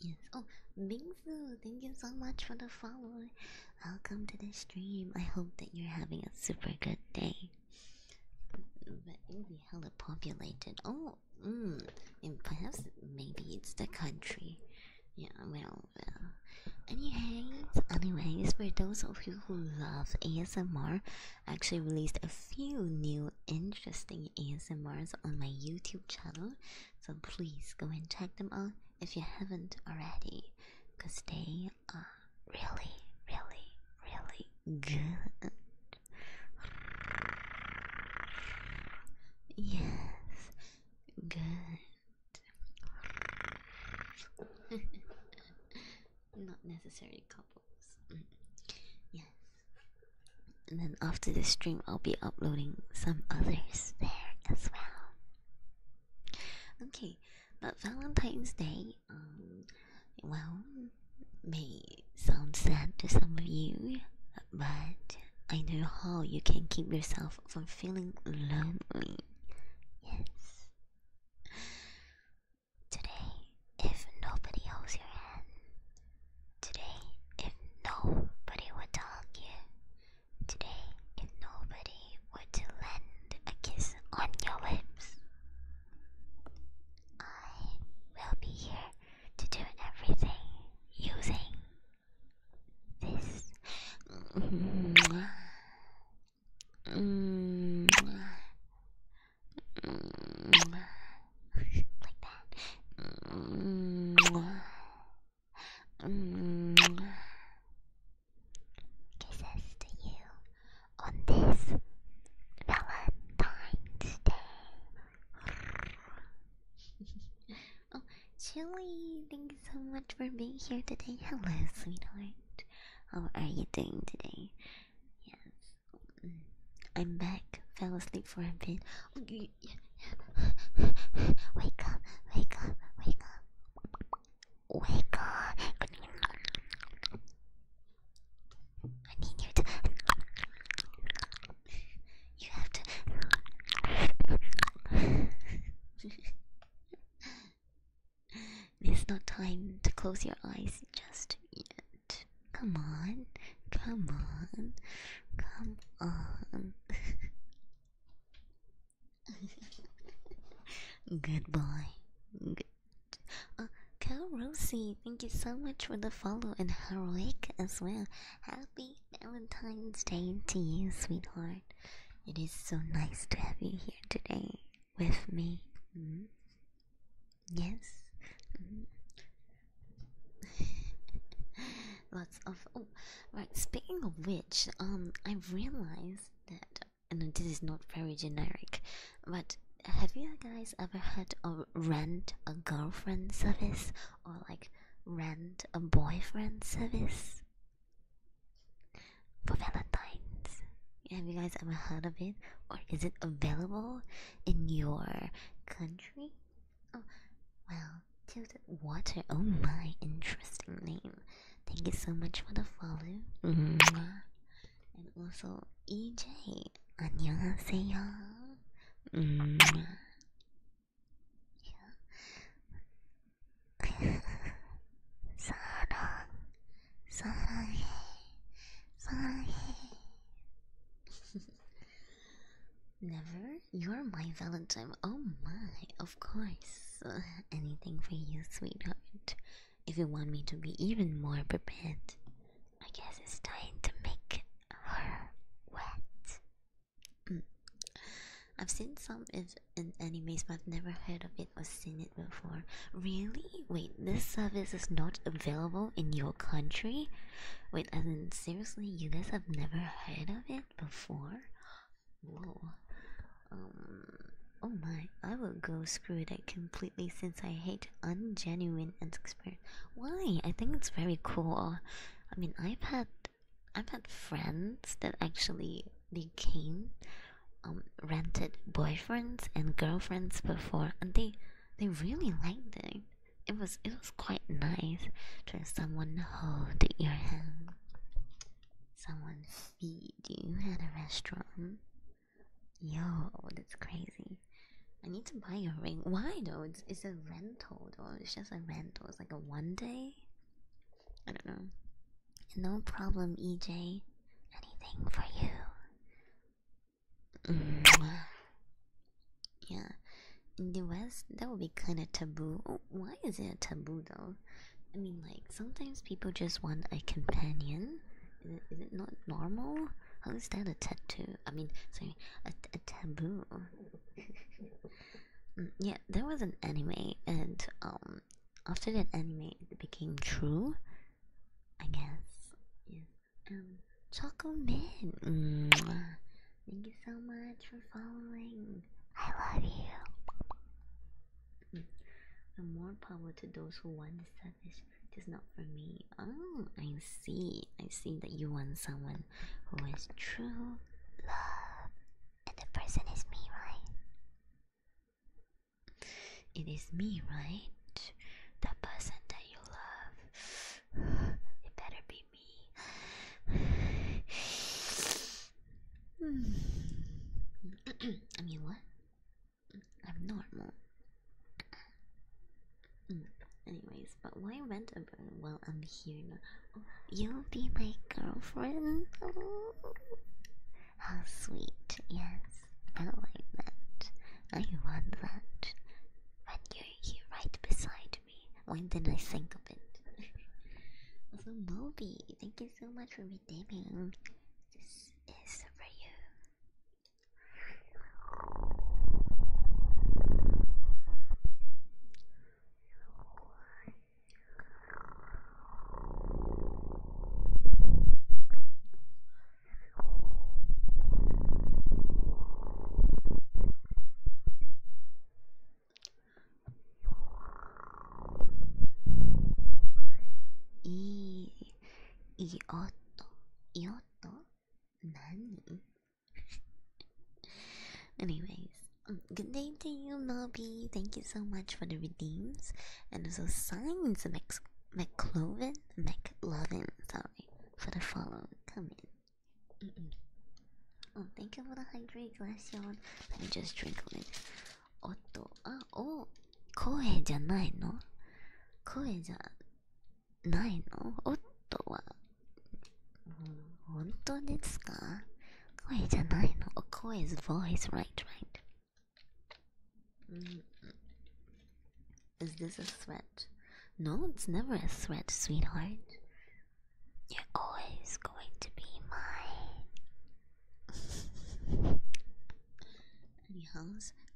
yes. Oh, Bingsu, thank you so much for the follow. Welcome to the stream. I hope that you're having a super good day. But it'll populated. Oh, mm, and perhaps maybe it's the country. Yeah, well, Anyways, anyways, for those of who love ASMR actually released a few new interesting ASMRs on my YouTube channel. So please go and check them out if you haven't already. Because they are really, really, really good. Yes, good. Not necessarily couples. Mm. And then after the stream, I'll be uploading some others there as well. Okay, but Valentine's Day, um, well, may sound sad to some of you, but I know how you can keep yourself from feeling lonely. Yes. Today, if nobody holds your hand. Today, if nobody would hug you. Today, if nobody were to lend a kiss on your lips. I will be here to do everything using this. Mm. Mm. like that. Mm. Mm. Kisses to you on this Valentine's Day. oh, Chili, thanks so much for being here today. Hello, sweetheart. How are you doing today? Yes. I'm back. Fell asleep for a bit. wake up, wake up, wake up. Wake up. I need you to. You have to. There's no time to close your eyes just yet. Come on, come on, come on. Goodbye. Good. Uh, Cal Rosie, thank you so much for the follow and heroic as well. Happy Valentine's Day to you, sweetheart. It is so nice to have you here today with me. Mm -hmm. Yes. Lots of oh, right. Speaking of which, um, I realized that, and this is not very generic, but have you guys ever heard of rent a girlfriend service or like rent a boyfriend service? for Valentine's. Have you guys ever heard of it? Or is it available in your country? Oh, well, tilted water. Oh my, interesting name. Thank you so much for the follow. And also, EJ. 안녕하세요. Mm -hmm. yeah. 사랑, 사랑해, 사랑해. Never? You're my Valentine. Oh my, of course. Anything for you, sweetheart. If you want me to be even more prepared, I guess it's time to make her wet. Mm. I've seen some in animes, but I've never heard of it. I've seen it before. Really? Wait, this service is not available in your country? Wait, I mean, seriously, you guys have never heard of it before? Whoa. Um, oh my, I will go screw that completely since I hate ungenuine experience. Why? I think it's very cool. I mean, I've had, I've had friends that actually became. Um, rented boyfriends and girlfriends before, and they they really liked it. It was it was quite nice to have someone hold your hand, someone feed you at a restaurant. Yo, that's crazy. I need to buy a ring. Why though? It's, it's a rental though. It's just a rental. It's like a one day. I don't know. No problem, EJ. Anything for you. Mm-hmm. yeah. In the West, that would be kind of taboo. Oh, why is it taboo though? I mean, like, sometimes people just want a companion. Is it not normal? How is that a tattoo? I mean, sorry, a, a taboo. Mm, yeah, there was an anime, and um, um, after that anime, it became true. I guess. Yeah. Um, Choco Man, thank you so much for following. I love you. Mm And more power to those who want this. service. Just not for me. Oh, I see. I see that you want someone who is true love, and the person is me, right? It is me, right? The person that you love. It better be me. I mean, what? I'm normal. Anyways, but why rent a burn while I'm here? You'll be my girlfriend. How oh, sweet, yes. I like that. I want that. When you're here right beside me. When did I think of it? also, Moby, thank you so much for redeeming. This is for you. いい、いい音、いい音、何 Anyways, um, good day to you, Nobby. Thank you so much for the redeems. And also signs and exclamation McLovin? McLovin, sorry, for the follow. Come in. Mm -mm. Oh, thank you for the hydrate glass, y'all. Let me just drink a minute. Otto. Ah, oh, Koe ja nai no? Koe ja nai no? Otto wa. Ah. Mm-hmm. Honto desu ka? Koe ja nai no? Oh, Koe's voice, right, right. Mm. Is this a sweat? No, it's never a sweat, sweetheart. You're always going to be mine. Anyhow,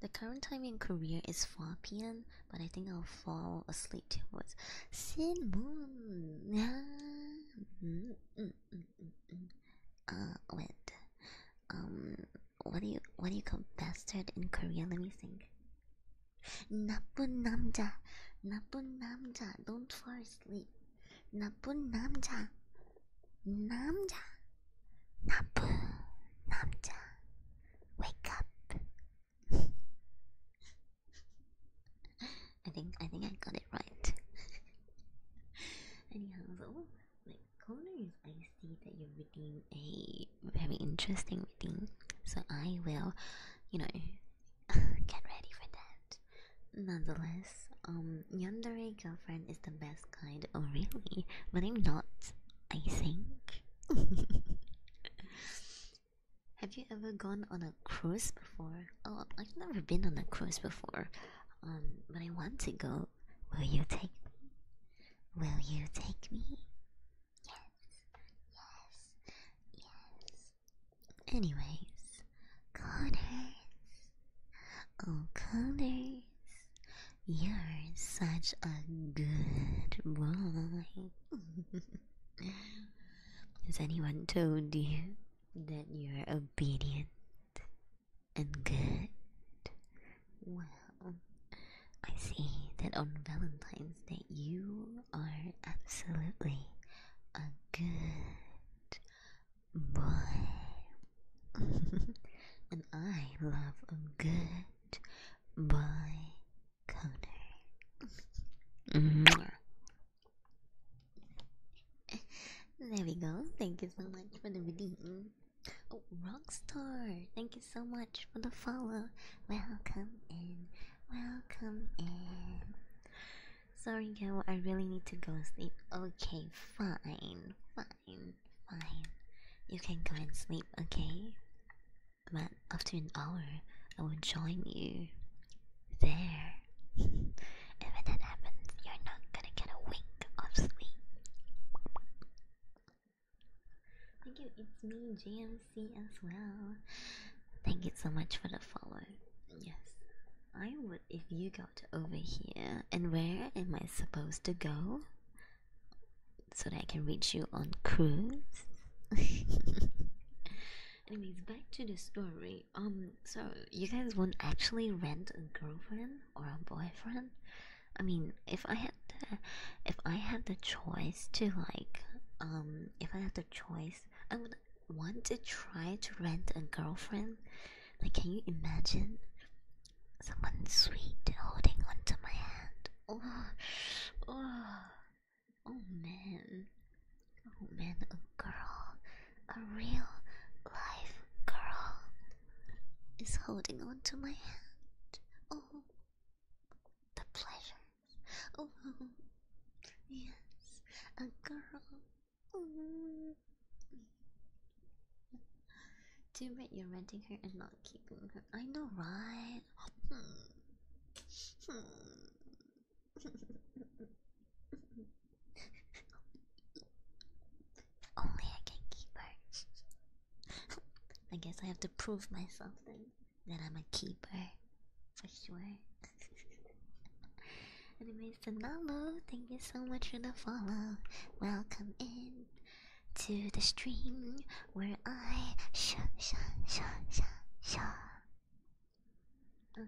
the current time in Korea is 4 p.m., but I think I'll fall asleep towards Sin Moon. mm, mm, mm uh, wait um what do you what do you call bastard in Korean? Let me think. Napun namja, napun namja, don't fall asleep. Napun namja, namja, napun namja, wake up. I think I think I got it right. Anyhow, so, like corner I see that you are reading a very interesting reading, so I will, you know, get ready for that. Nonetheless, um, yandere girlfriend is the best kind. Oh, really? But I'm not. I think. Have you ever gone on a cruise before? Oh, I've never been on a cruise before. Um, but I want to go. Will you take me? Will you take me? Yes, yes, yes. Anyways, Connors. Oh, Connors. You're such a good boy. Has anyone told you that you're obedient? and good. Well, I see that on Valentine's Day you are absolutely a good boy. and I love a good boy coder. Mm-hmm. there we go. Thank you so much for the video. Oh, Rockstar, thank you so much for the follow. Welcome in, welcome in. Sorry, girl, I really need to go sleep. Okay, fine, fine, fine. You can go and sleep, okay? But after an hour, I will join you there. and that happens, you're not gonna get a wink of sleep. Thank you, it's me, JMC, as well. Thank you so much for the follow. Yes, I would if you got over here. And where am I supposed to go? So that I can reach you on cruise. Anyways, back to the story. Um, so you guys want not actually rent a girlfriend or a boyfriend. I mean, if I had, to, if I had the choice to like, um, if I had the choice, I would want to try to rent a girlfriend. Like, can you imagine someone sweet holding onto my hand? Oh, oh, oh man, oh man, a girl, a real life girl is holding on to my hand. Oh, the pleasures. Oh, yes, a girl. Too bad you're renting her and not keeping her. I know, right? Hmm. Only I can keep her. I guess I have to prove myself then that I'm a keeper for sure. Anyways, Danalo, thank you so much for the follow. Welcome in to the stream where I sh sh sh sh sh uh,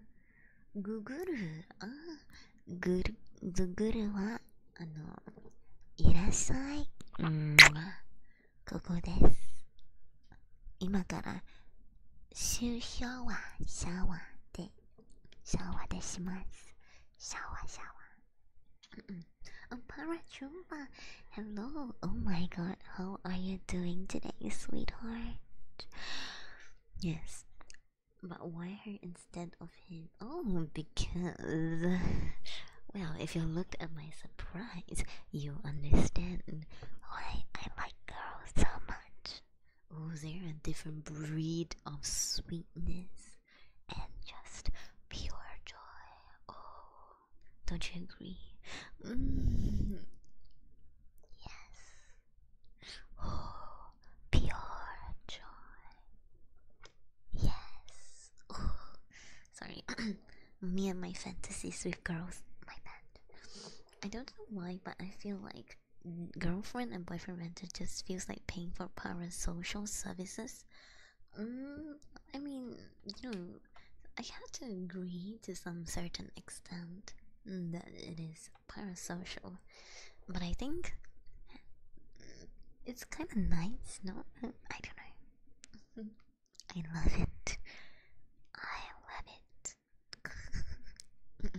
Guguru ah uh, Guru Guguru wa uh, あの、いらっしゃい。ここです。今から、シューシャワー、シャワーで、シャワーでします。シャワー、シャワー。うんうん。Parachumba, hello. Oh my god, how are you doing today, sweetheart? Yes. But why her in instead of him. Oh, because. Well, if you look at my surprise, you understand why I like girls so much. Oh, they're a different breed of sweetness and just pure joy. Oh, don't you agree? Mm-hmm. Yes. Oh, pure joy. Yes. sorry. Me and my fantasies with girls. My bad. I don't know why, but I feel like girlfriend and boyfriend renter just feels like paying for parasocial services. Mm, I mean, you know, I have to agree to some certain extent that it is parasocial, but I think it's kind of nice, no? I don't know. I love it. I love it.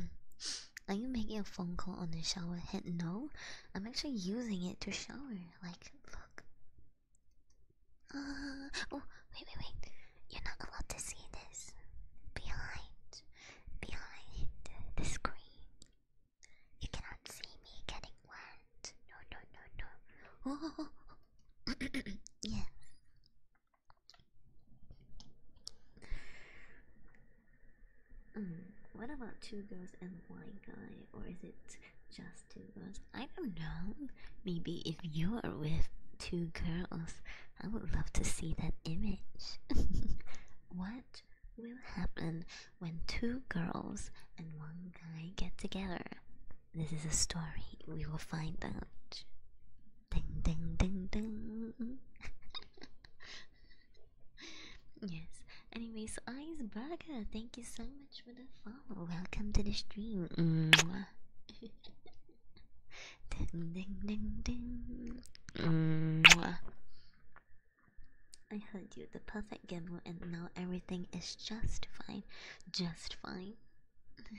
Are you making a phone call on the shower head? No, I'm actually using it to shower. Like, look. Uh, oh, wait, wait, wait. You're not allowed to see this. Behind, behind the screen. You cannot see me getting wet. No, no, no, no. Oh, yeah. Mm, what about two girls and one guy, or is it just two girls? I don't know. Maybe if you are with two girls, I would love to see that image. what will happen when two girls and one guy get together. This is a story we will find out. Ding ding ding ding. yes. Anyways, Iceburger, thank you so much for the follow. Welcome to the stream. Mwah. ding ding ding ding. Mwah. I heard you, the perfect gimbal, and now everything is just fine. Just fine.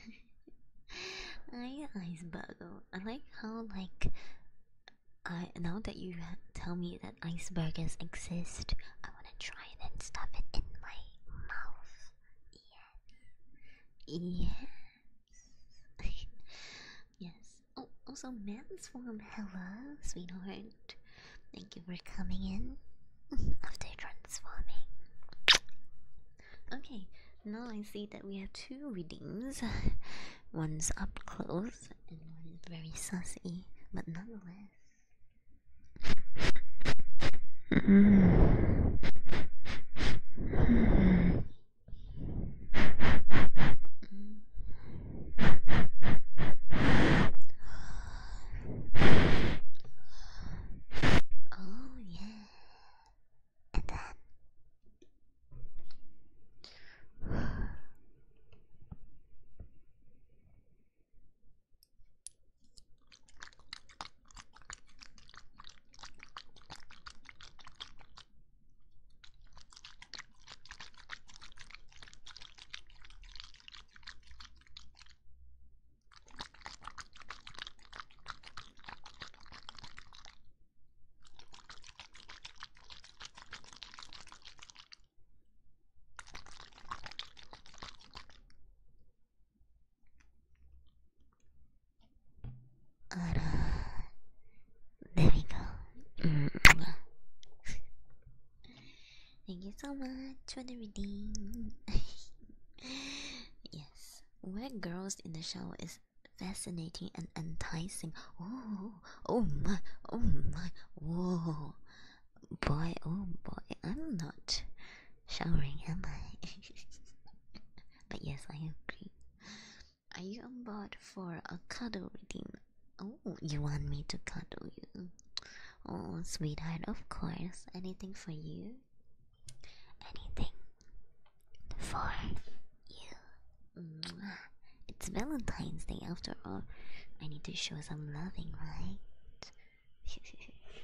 iceberg. I like how like I now that you tell me that icebergs exist, I wanna try and then stuff it in my mouth. Yes. Yes. yes. Oh, also man's form. Hello, sweetheart. Thank you for coming in after transforming. Okay, now I see that we have two readings. One's up close and one very sassy, but nonetheless. Oh, yeah. And then. あら、there we go. Thank you so much for the redeem. yes, where girls in the show is fascinating and enticing. Oh, oh my, oh my, whoa, boy, oh boy, I'm not showering, am I? but yes, I agree. Are you on board for a cuddle redeem? Oh, you want me to cuddle you? Oh, sweetheart, of course. Anything for you? Anything for you? Mm. It's Valentine's Day after all. I need to show some loving, right?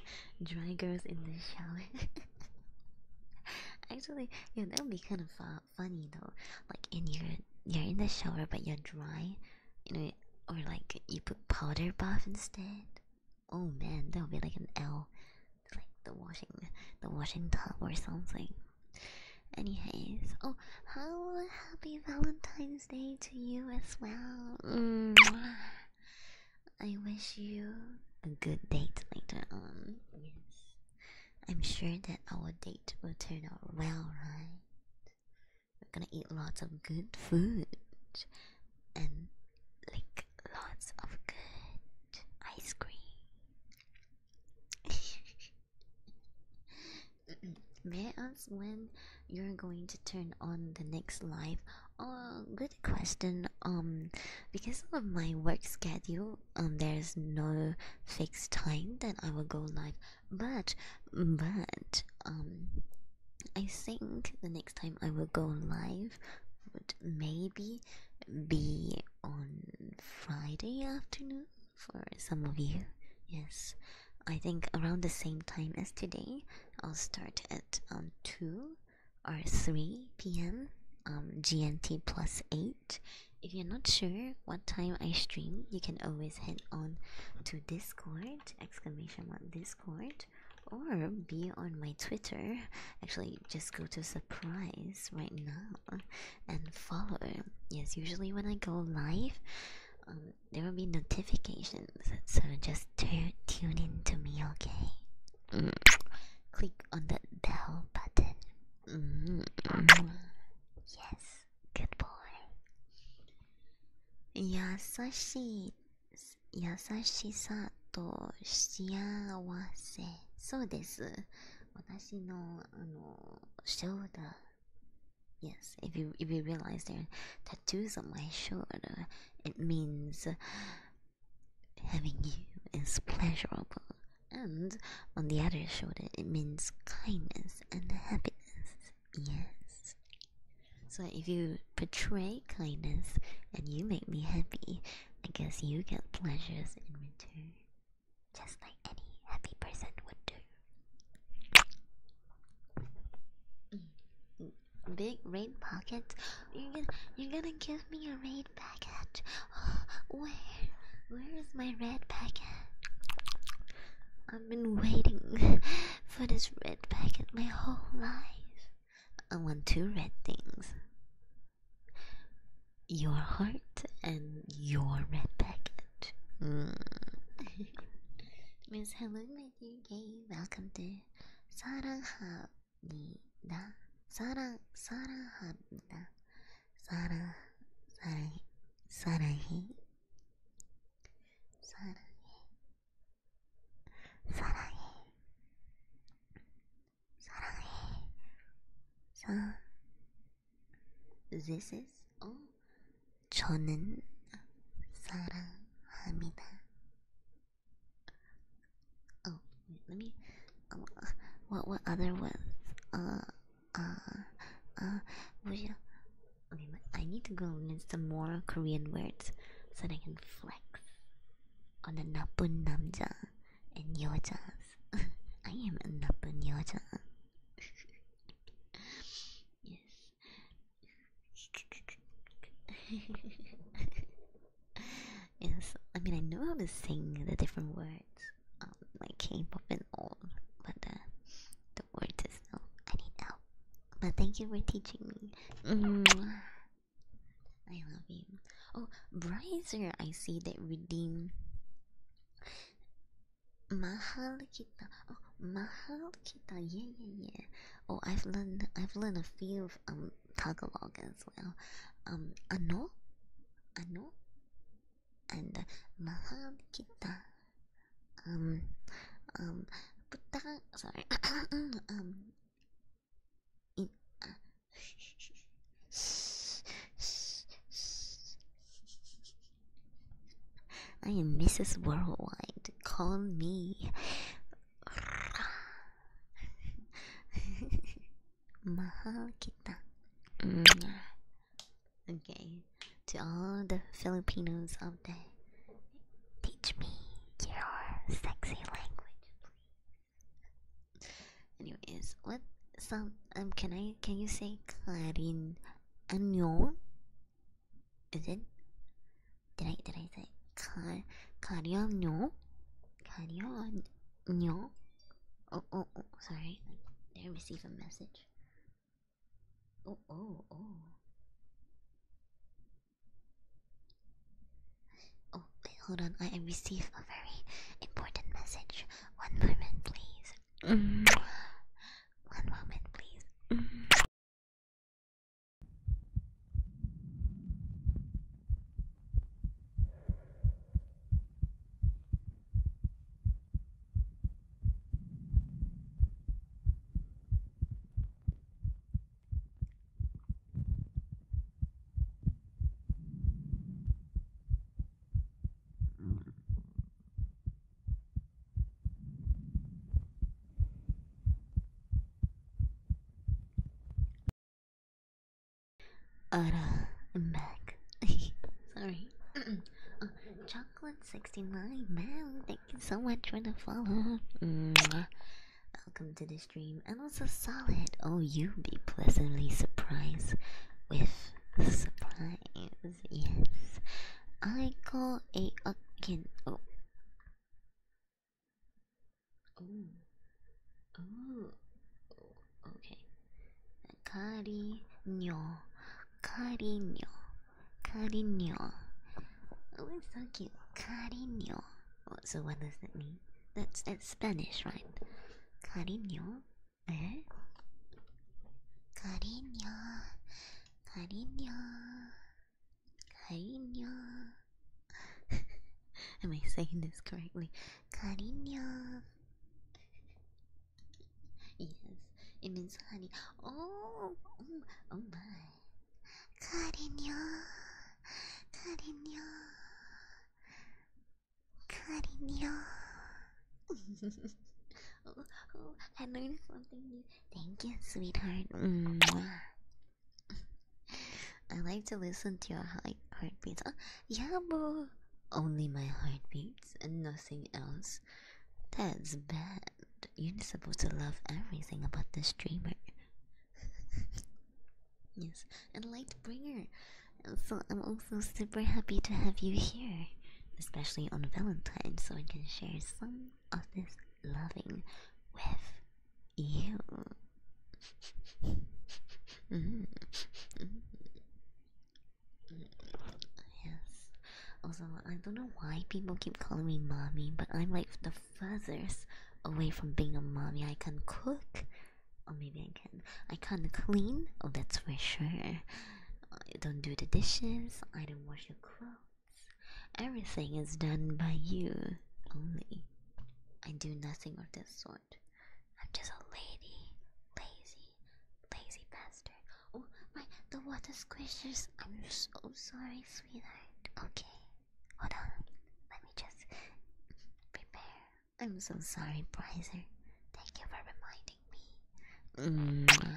Dry girls in the shower. Actually, yeah, that would be kind of uh, funny though. Like in your, you're in the shower, but you're dry, you know, or like you put powder bath instead. Oh man, that would be like an L, like the washing, the washing tub or something. Anyways, oh, happy Valentine's Day to you as well. Mm. I wish you a good date later on. Yes, I'm sure that our date will turn out well, right? We're gonna eat lots of good food and like lots of good ice cream. May I ask when you're going to turn on the next live? Oh, good question. Um, because of my work schedule, um, there's no fixed time that I will go live but but um I think the next time I will go live would maybe be on Friday afternoon for some of you. Yes, I think around the same time as today, I'll start at um, 2 or 3 p.m. Um, GMT plus 8. If you're not sure what time I stream, you can always head on to Discord exclamation on Discord or be on my Twitter. Actually, just go to surprise right now and follow. Yes, usually when I go live, um, there will be notifications, so just tune in to me, okay? Click on the bell button. Mm. Yes. Good boy. Yasashi, yasashi sa to shiawase. そうです。私のあの shoulder. Yes, if you if you realize there tattoos on my shoulder, it means having you is pleasurable. And on the other shoulder, it means kindness and happiness. Yes. So if you portray kindness and you make me happy, I guess you get pleasures in return. Just like any happy person would do. Mm. Big red pocket? You're gonna, you're gonna give me a raid packet? where? Where is my red packet? I've been waiting for this red packet my whole life. I want two red things. Your heart and your red packet. Mm. Miss hello my dear gay. Welcome to 사랑합니다. 사랑 사랑합니다. 사랑 사랑 사랑해 so this is all. 저는 사랑합니다. Oh, let me. Oh, what what other ones? Uh, uh, uh. 뭐야? Okay, I need to go learn some more Korean words so that I can flex on the Napun Namja and Yo Yojas. I am a Napun Yoja. yes. yes, I mean, I know how to sing the different words, um, like K pop and all, but uh, the word to know. I need help. But thank you for teaching me. I love you. Oh, Bryzer, I see that redeem. Mahal kita. Oh, mahal kita. Yeah, yeah, yeah. Oh, I've learned. I've learned a few of um, Tagalog as well. Um, ano, ano, and uh, mahal kita. Um, um, sorry. um, uh, I am Mrs. Worldwide. Call me. Mahal kita. Mm. Okay to all the Filipinos out there. Teach me your sexy language, please. Anyways, what some um can I can you say Karin Anyo? Is it? Did I did I say Kar Karyanyo? Karyanyo? Oh oh oh sorry. I received a message? Oh, oh, oh. Oh, wait, hold on. I received a very important message. One moment, please. One moment, please. Uh, I'm back. Sorry. uh, chocolate 69, man, you so much for the follow. Welcome to the stream. And also, Solid. Oh, you be pleasantly surprised with surprise. Yes. I call a again. Oh. Oh. oh. Okay. Cariño. Cariño. Cariño. Oh, it's so cute. Cariño. Oh, so what does that mean? That's that's Spanish, right? Cariño. Eh? Cariño. Cariño. Cariño. Am I saying this correctly? Cariño. Yes, it means honey. Oh, oh, oh my. Cariño, cariño, cariño. I learned something new. Thank you, sweetheart. I like to listen to your heartbeats. Oh, yeah, bro. Only my heartbeats and nothing else. That's bad. You're supposed to love everything about this streamer. yes, and Lightbringer. So I'm also super happy to have you here, especially on Valentine's, so we can share some of this loving with you. Mm-hmm. Mm-hmm. Mm-hmm. Yes. Also, I don't know why people keep calling me mommy, but I'm like the furthest away from being a mommy. I can cook, or maybe I can. I can't clean, oh, that's for sure. I don't do the dishes, I don't wash your clothes. Everything is done by you only. I do nothing of this sort. I'm just a lady, lazy, lazy bastard. Oh my, the water squishes. I'm so sorry Okay, hold on. Let me just prepare. I'm so sorry, Prizer. Thank you for reminding me.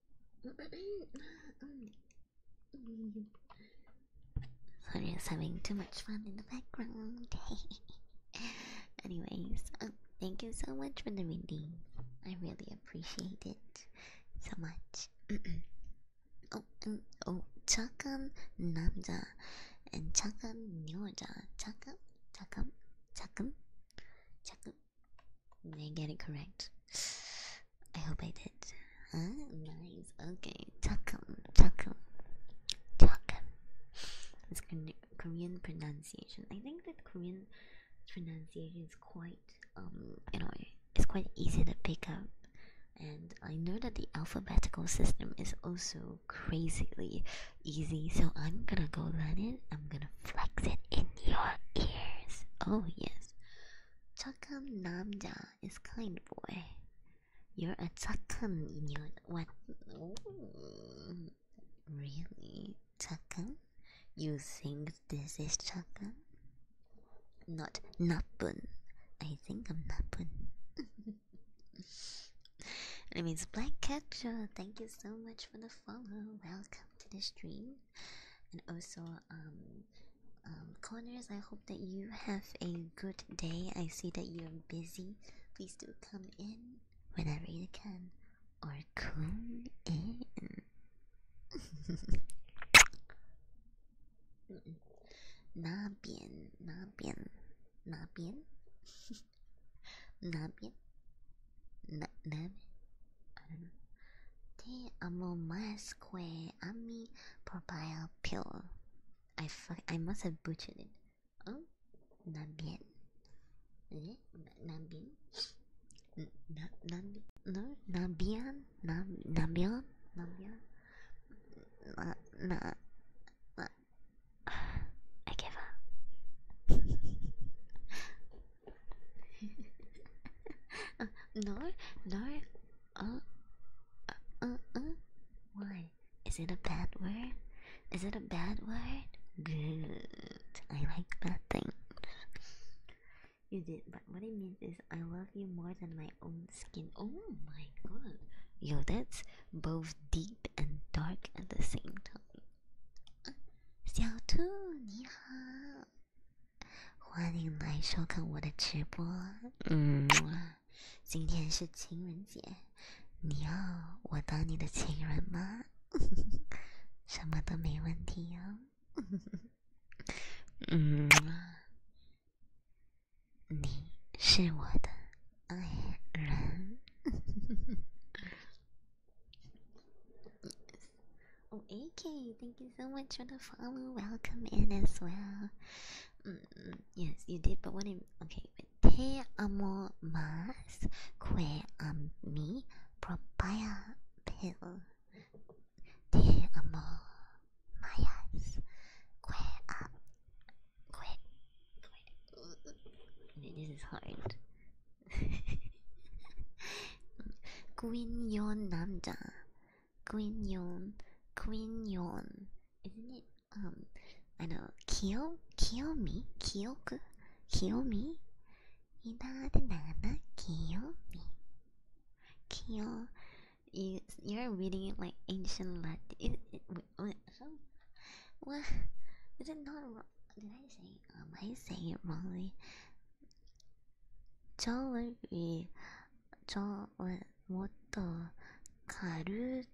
Sorry, I was having too much fun in the background. Anyways, um, thank you so much for the reading. I really appreciate it so much. oh, oh, Chakam Namda and Chakam Nyoda. Chakam, Chakam, Chakam, Chakam, did I get it correct? I hope I did. Nice. Okay. Takum. Takum. Takum. It's Korean pronunciation. I think that Korean pronunciation is quite, um, you know, it's quite easy to pick up. And I know that the alphabetical system is also crazily easy, so I'm gonna go learn it. I'm gonna flex it in your ears. Oh yes. Chakam Namja is kind boy. You're a chakam in your what really? Chakam? You think this is chakam? Not Napun. I think I'm Napun. It means black cat. Catcher. Thank you so much for the follow. Welcome to the stream and also um, um, corners i hope that you have a good day i see that you're busy please do come in whenever you can or come in な、なめ I don't know. They are more mask way. I mean, papaya pill. I fuck. I must have butchered it. Oh, Nambien. Eh? Nambien? Nambian? No, Nambian? Nambian? Nambian? Na, na, na. I give up. no, no. Uh, uh, uh. uh Why? Is it a bad word? Is it a bad word? Good. I like bad things. You did, but what I mean is I love you more than my own skin. Oh my god. Yo, that's both deep and dark at the same time. 小兔你好，欢迎来收看我的直播，嗯，今天是情人节，你要我当你的情人吗？什么都没问题哦，嗯，你是我的爱人。Oh, AK, thank you so much for the follow. Welcome in as well. Mm-hmm, yes, you did, but what? In, okay, te amo más que a mi propia piel. Te amo más que a que. This is hard. Quinion Namda. Quinion. Quinion. Isn't it? Um, I know. Kill? Kill me? Kill? Kill me? Kill me. Kill. You, you're reading it like ancient Latin. It, it, not wrong? Did I say? Am um, I saying it wrongly? ちょい、ちょもっと、軽、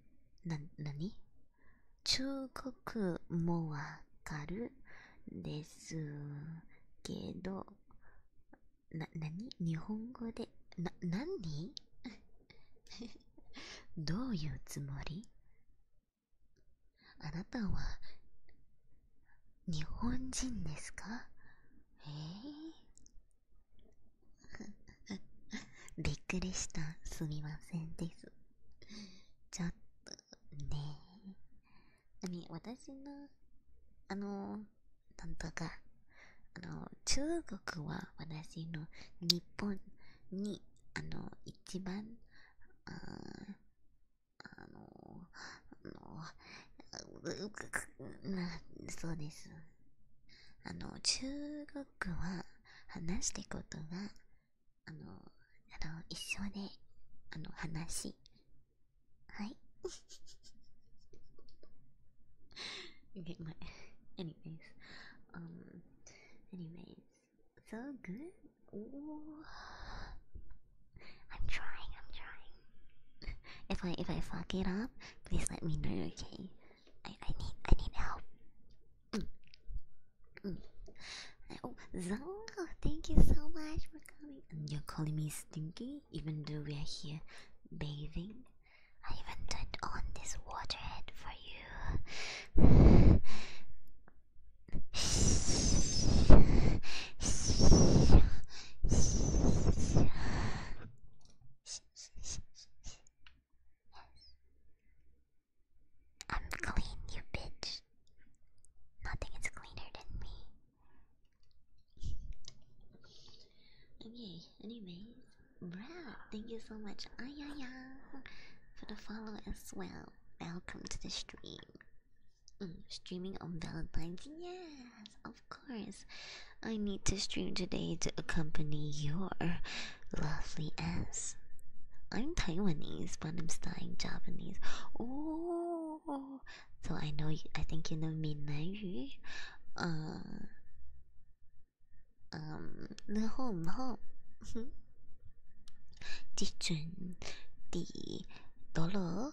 な、なに中国もわかるですけど、な、なに日本語で、な、なに どういうつもりあなたは日本人ですかえ びっくりしたすみませんですちょっとねえ私のあのなんとかあの中国は私の日本にあの一番あの、あの、そうです。あの、中国は話してことは、あの、あの、一緒で、あの、話。はい。okay, my, anyways, um, anyways, so good. Ooh. I'm trying, I'm trying. If I if I fuck it up, please let me know, okay? I, I need I need help. Oh, Zongo, thank you so much for coming. you're calling me stinky, even though we are here bathing. I even turned on this water head for you. I'm clean, you bitch. Nothing is cleaner than me. Okay, anyways, bruh, thank you so much, Ayaya, for the follow as well. Welcome to the stream. Mm, streaming on Valentine's, yes, of course. I need to stream today to accompany your lovely ass. I'm Taiwanese, but I'm studying Japanese. Oh, so I know. You, I think you know Minnan Yu. Uh, um, the home, home. Jijun, the dollar,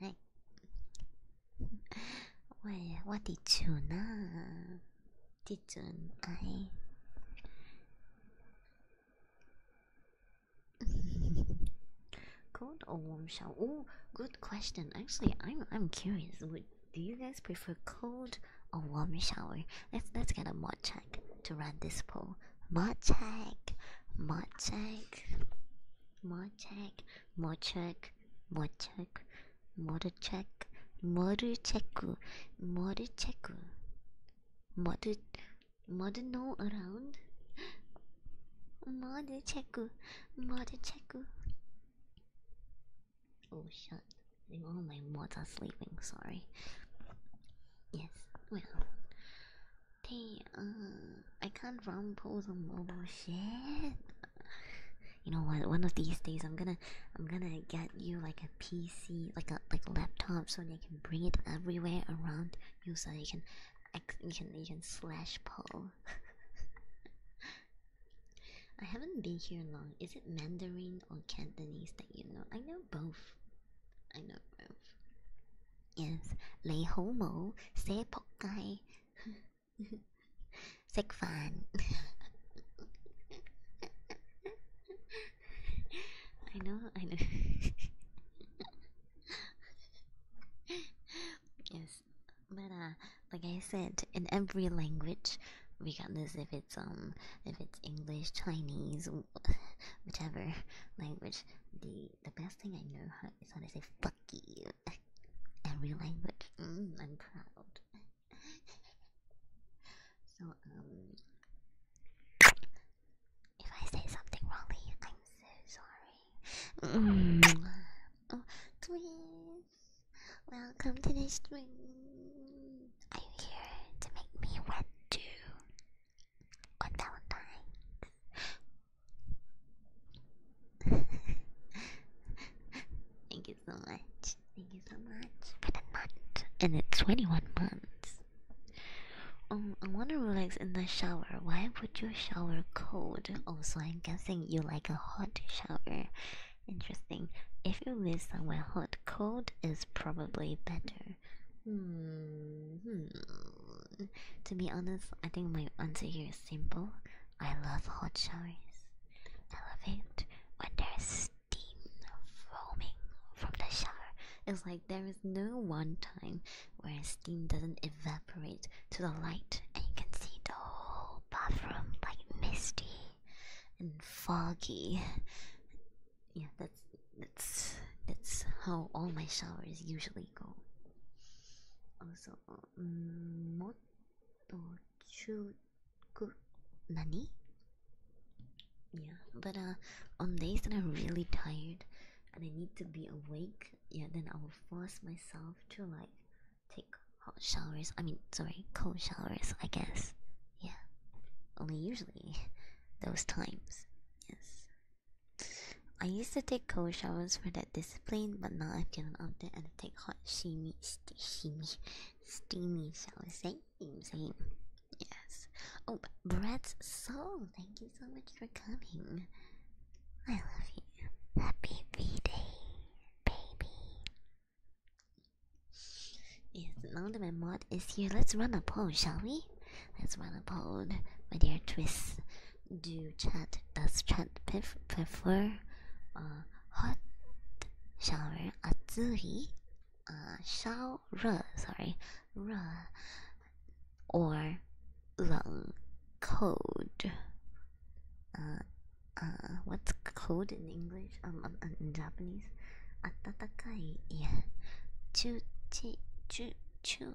はい喂，what did you know? Did you I? cold or warm shower? Oh, good question. Actually, I'm I'm curious. Would do you guys prefer cold or warm shower? Let's let's get a mod check to run this poll. Motek, Motek, Motek, Motek, Motek, Motek, Moruteku, Moruteku. Modu, Modu no around. Moruteku, Moruteku. Oh shit, all my mods are sleeping, sorry. Yes, well, Damn, I can't run pose on mobile shit. You know what? One of these days, I'm gonna, I'm gonna get you like a PC, like a like laptop, so you can bring it everywhere around you, so you can, you can, you can slash pull. I haven't been here long. Is it Mandarin or Cantonese that you know? I know both. I know both. Yes, know, I know. yes, but uh, like I said, in every language, regardless if it's um, if it's English, Chinese, whatever language, the the best thing I know how is how to say fuck you. in real language. Mm, I'm proud. so, um, If I say something wrongly, I'm so sorry. Mm. Oh, please. Welcome to the stream. Are you here to make me wet too? Thank you so much. Thank you so much for the month. And it's 21 months. Um, I wanna relax in the shower. Why would you shower cold? Also, I'm guessing you like a hot shower. Interesting. If you live somewhere hot, cold is probably better. Hmm. hmm to be honest, I think my answer here is simple. I love hot showers. I love it when there's steam foaming from the shower. It's like there is no one time where steam doesn't evaporate to the light and you can see the whole bathroom like misty and foggy. Yeah, that's that's that's how all my showers usually legal. Yeah, but uh, on days that I'm really tired and I need to be awake, yeah, then I will force myself to like take hot showers. I mean, sorry, cold showers, I guess. Yeah, only usually those times. Yes, I used to take cold showers for that discipline, but now I've given up there and I take hot steamy, steamy, steamy showers. Same, same. Yes. Oh, Brett's soul. Thank you so much for coming. I love you. Happy V Day, baby. Yes, now that my mod is here, let's run a poll, shall we? Let's run a poll, my dear Twist. Do chat does chat pref prefer uh, hot shower atsuri shower sorry or long cold uh, uh, what's cold in English um, um, um in Japanese atatakai yeah chu chu chu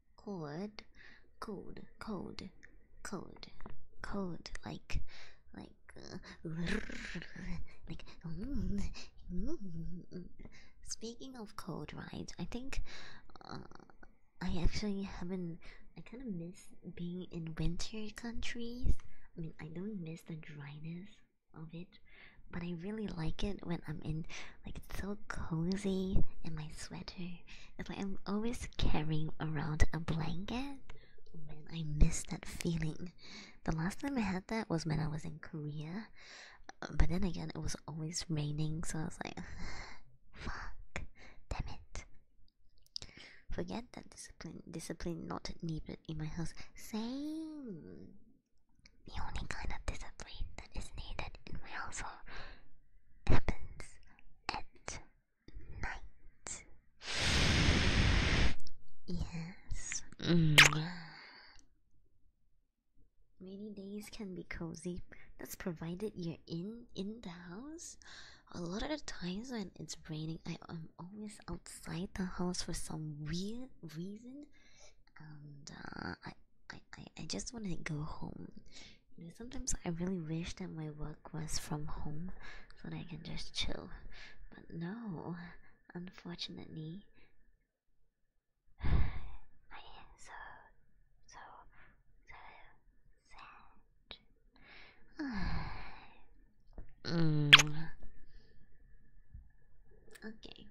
cold, cold, cold, cold, cold, like, like, uh, like. Speaking of cold right? I think uh, I actually haven't. I kind of miss being in winter countries. I mean, I don't miss the dryness of it, but I really like it when I'm in. Like it's so cozy in my sweater. It's like I'm always carrying around a blanket. Oh man, I miss that feeling. The last time I had that was when I was in Korea. Uh, but then again, it was always raining, so I was like, fuck, damn it. Forget that discipline. Discipline not needed in my house. Same. The only kind of discipline that is needed in my house happens at night. Yes. Rainy days can be cozy. That's provided you're in in the house. A lot of the times when it's raining, I am always outside the house for some weird reason, and uh, I, I, I just want to go home sometimes I really wish that my work was from home so that I can just chill. But no, unfortunately. I am so, so, so sad. mm. Okay.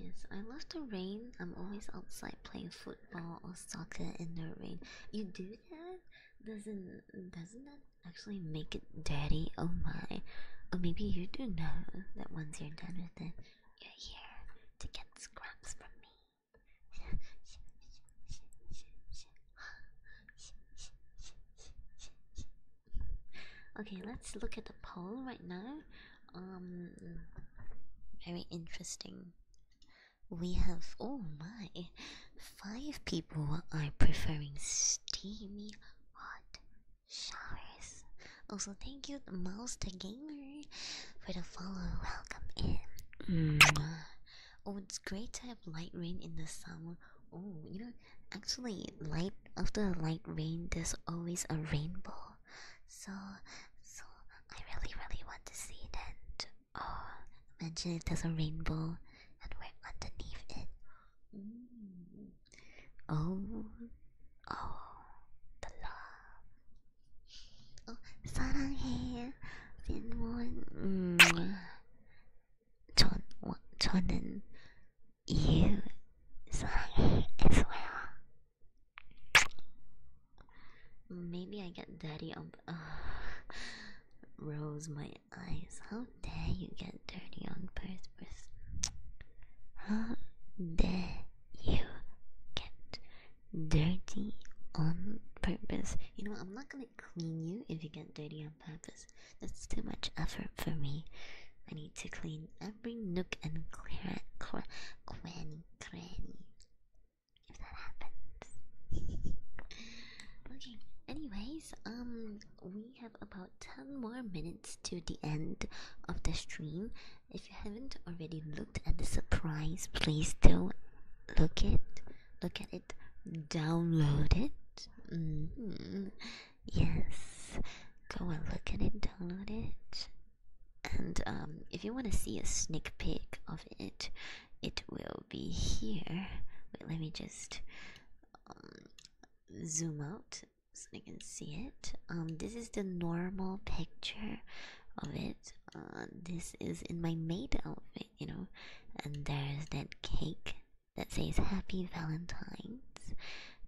Yes, I love the rain. I'm always outside playing foot Oh, Osaka in the rain. You do that? Doesn't doesn't that actually make it dirty? Oh my. oh, maybe you do know that once you're done with it, you're here to get scraps from me. okay, let's look at the poll right now. Um, very interesting. We have, oh my, five people are preferring steamy hot showers. Also, thank you, Mouse Gamer, for the follow. Welcome in. Mm. Oh, it's great to have light rain in the summer. Oh, you know, actually, light after light rain, there's always a rainbow. So, so I really, really want to see that. Oh, imagine it has a rainbow and we're underneath it. Mm. Oh, oh, the love. Oh, 사랑해. 진원. 음. 전, 어, 저는 you 사랑해 as well. Maybe I get dirty on. Uh, Rose, my eyes. How dare you get dirty on purpose? Huh? dare you get dirty on purpose? You know, I'm not gonna clean you if you get dirty on purpose. That's too much effort for me. I need to clean every nook and cranny, cranny, cranny okay, anyways, um, we have about 10 more minutes to the end of the stream. If you haven't already looked at the surprise, please do look it, look at it, download it. Mm-hmm. Yes, go and look at it, download it. And um, if you want to see a sneak peek of it, it will be here. Wait, let me just um, zoom out so I can see it. Um, this is the normal picture of it. Uh, this is in my maid outfit, you know, and there's that cake that says Happy Valentine's.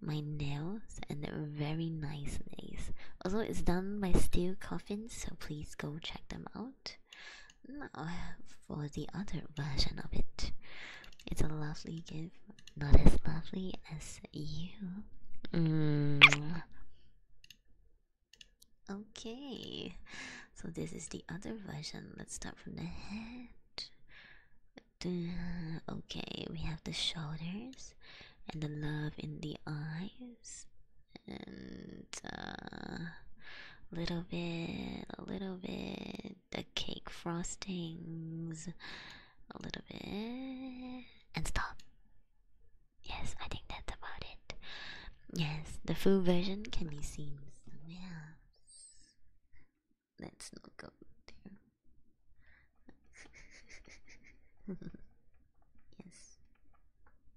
My nails and they're very nice nails. Also, it's done by Steel Coffins, so please go check them out. Now, for the other version of it, it's a lovely gift, not as lovely as you. Mm. Okay, so this is the other version. Let's start from the head. Okay, we have the shoulders and the love in the eyes and a uh, little bit, a little bit, the cake frostings, a little bit, and stop. Yes, I think that's about it. Yes, the full version can be seen somewhere Let's not go there. Yes.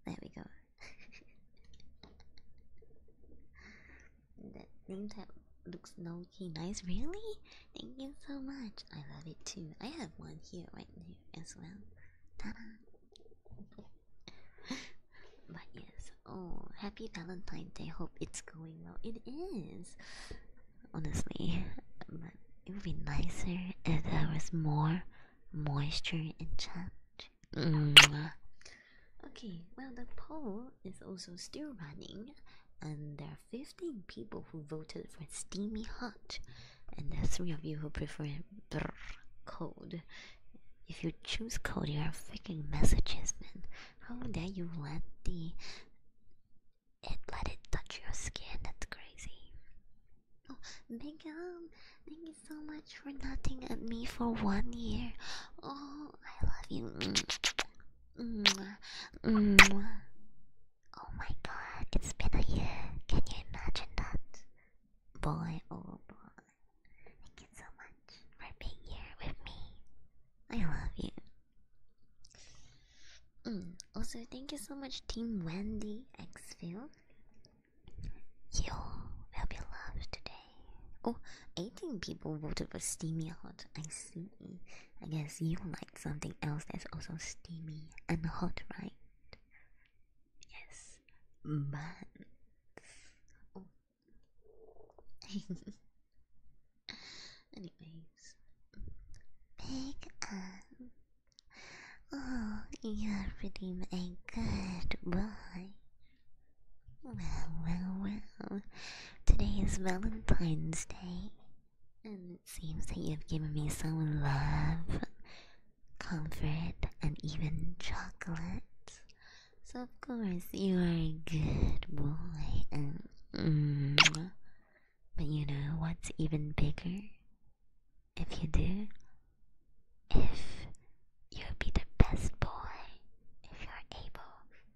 There we go. that name tag looks low-key nice. Really? Thank you so much. I love it too. I have one here right now as well. Ta-da! but yes. Oh, happy Valentine's Day. Hope it's going well. It is. Honestly, but it would be nicer if there was more moisture in chat. Mm. okay, well, the poll is also still running, and there are 15 people who voted for steamy hot, and there are 3 of you who prefer brr, cold. If you choose cold, you are freaking messages, man. How dare you let the. It let it touch your skin, that's crazy. Oh, big Megan, thank you so much for nothing at me for one year. Oh, I love you. Oh my god, it's been a year. Can you imagine that? Boy, oh boy. Thank you so much for being here with me. I love you. Mm. Also, thank you so much, Team Wendy Xfield, you will be loved today. Oh, 18 people voted for steamy hot. I see. I guess you like something else that's also steamy and hot, right? Yes. But. Oh. Anyways. Big Oh, you're pretty a good boy. Well, well, well. Today is Valentine's Day, and it seems that you've given me some love, comfort, and even chocolate. So, of course, you are a good boy, and. Mm, but you know what's even bigger? If you do, if you'll be the best boy, if you're able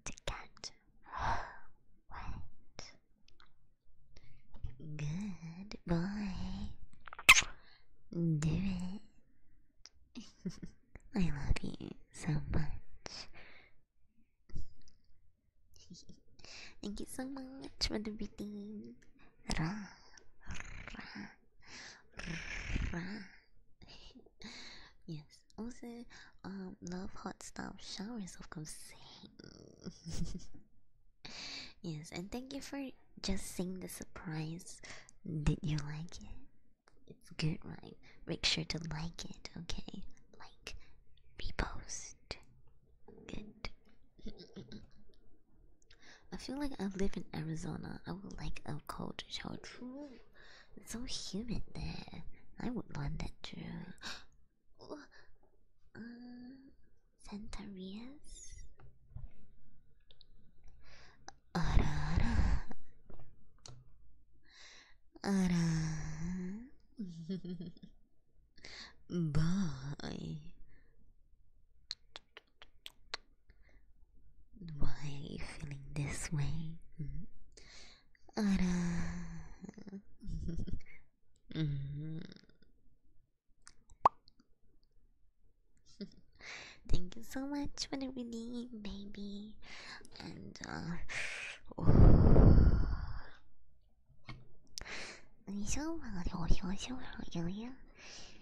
to get wet. Good boy. Do it. I love you so much. Thank you so much for the everything. yes. Also, um, love hot stuff showers of course. yes, and thank you for just seeing the surprise. Did you like it? It's good, right? Make sure to like it, okay? Like, repost. Good. I feel like I live in Arizona. I would like a cold shower. It's so humid there. I would want that too. Uh, Santa Rias. Arara. Why are you feeling this way? Thank you so much for reading, baby. And uh,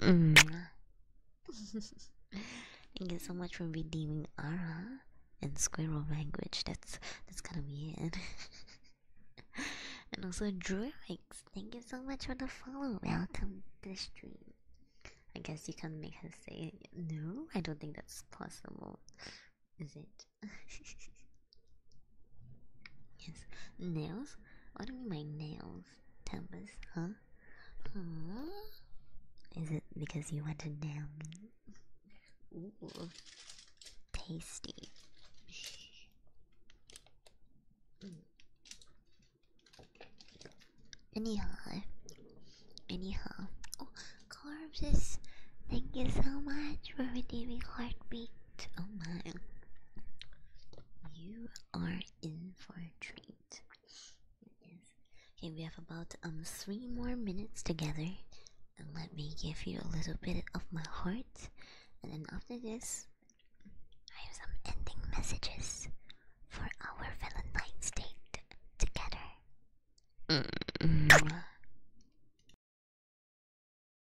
Mm. Thank you so much for redeeming Ara and Squirrel language. That's that's kind of weird. and also Druix, thank you so much for the follow. Welcome to the stream. I guess you can make her say no. I don't think that's possible. Is it? yes. Nails? What do you mean by nails? temples? huh? Huh? Is it because you want to nail Ooh, tasty. Anyhow, anyhow. Oh, Corvus, thank you so much for redeeming heartbeat. Oh my, you are in for a treat. Yes. Okay, we have about um three more minutes together, and let me give you a little bit of my heart, and then after this, I have some ending messages for our Valentine's Day together. Mm.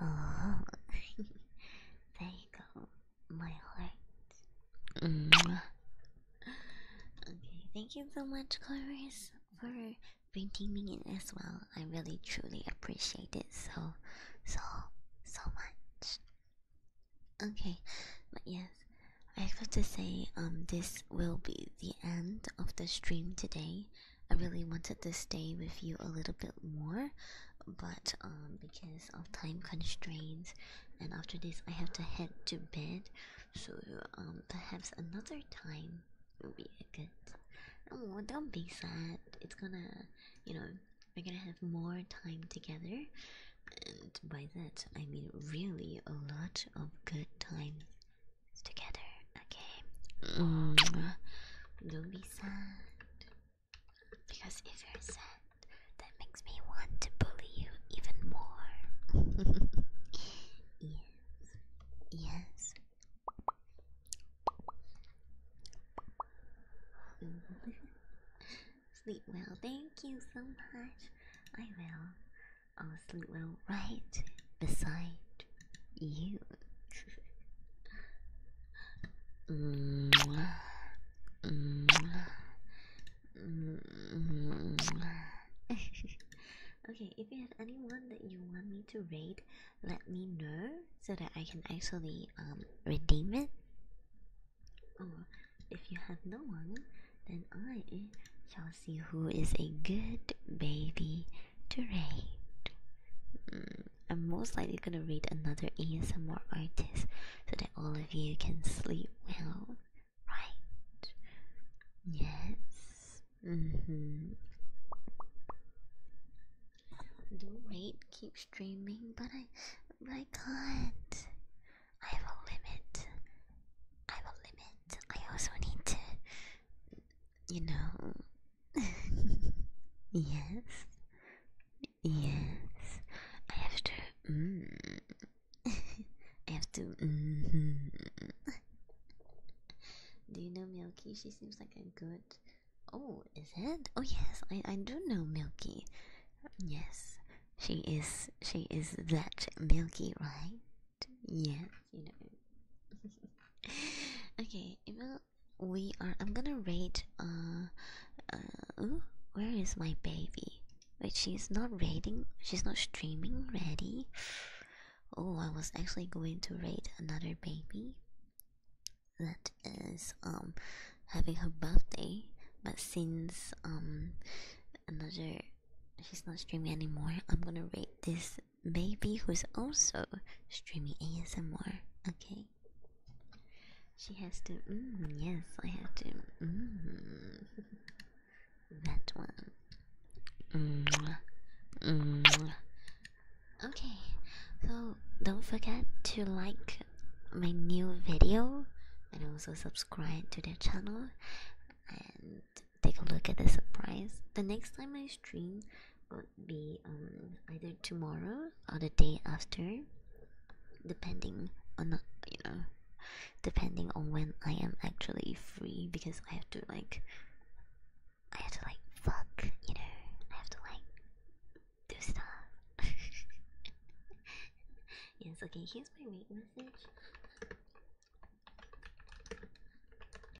Oh, there you go, my heart. Okay, thank you so much, Chorus, for bringing me in as well. I really truly appreciate it so, so, so much. Okay, but yes, I have to say, um, this will be the end of the stream today. I really wanted to stay with you a little bit more, but um, because of time constraints, and after this, I have to head to bed. So um, perhaps another time will be a good. Oh, don't be sad. It's gonna, you know, we're gonna have more time together, and by that I mean really a lot of good times together, okay? Mm. Don't be sad. Because if you're sad, that makes me want to bully you even more. yes. Yes. Mm-hmm. sleep well, thank you so much. I will. I'll sleep well right beside you. Mm -hmm. Mm -hmm. okay, if you have anyone that you want me to rate, let me know so that I can actually um, redeem it. Or if you have no one, then I shall see who is a good baby to read. Mm, I'm most likely gonna read another ASMR artist so that all of you can sleep well, right? Yes. hmm Do rate keep streaming, but I I can't. I have a limit. I have a limit. I also need to you know. yes. Yes. I have mm. mm-hmm. do you know Milky? She seems like a good. Oh, is it? Oh yes, I I do know Milky. Yes, she is. She is that Milky, right? Yes you know. okay, Emil, we are. I'm gonna rate. Uh, uh where is my baby? But she's not rating. She's not streaming ready. Oh, I was actually going to rate another baby that is um having her birthday, but since um another she's not streaming anymore, I'm gonna rate this baby who's also streaming ASMR. Okay, she has to. Mm, yes, I have to. Mm-hmm. that one. Mm-hmm. Okay, so don't forget to like my new video and also subscribe to the channel and take a look at the surprise. The next time I stream would be um, either tomorrow or the day after, depending on you know, depending on when I am actually free. Because I have to like, I have to like fuck, you know, I have to like do stuff. yes. Okay. Here's my wait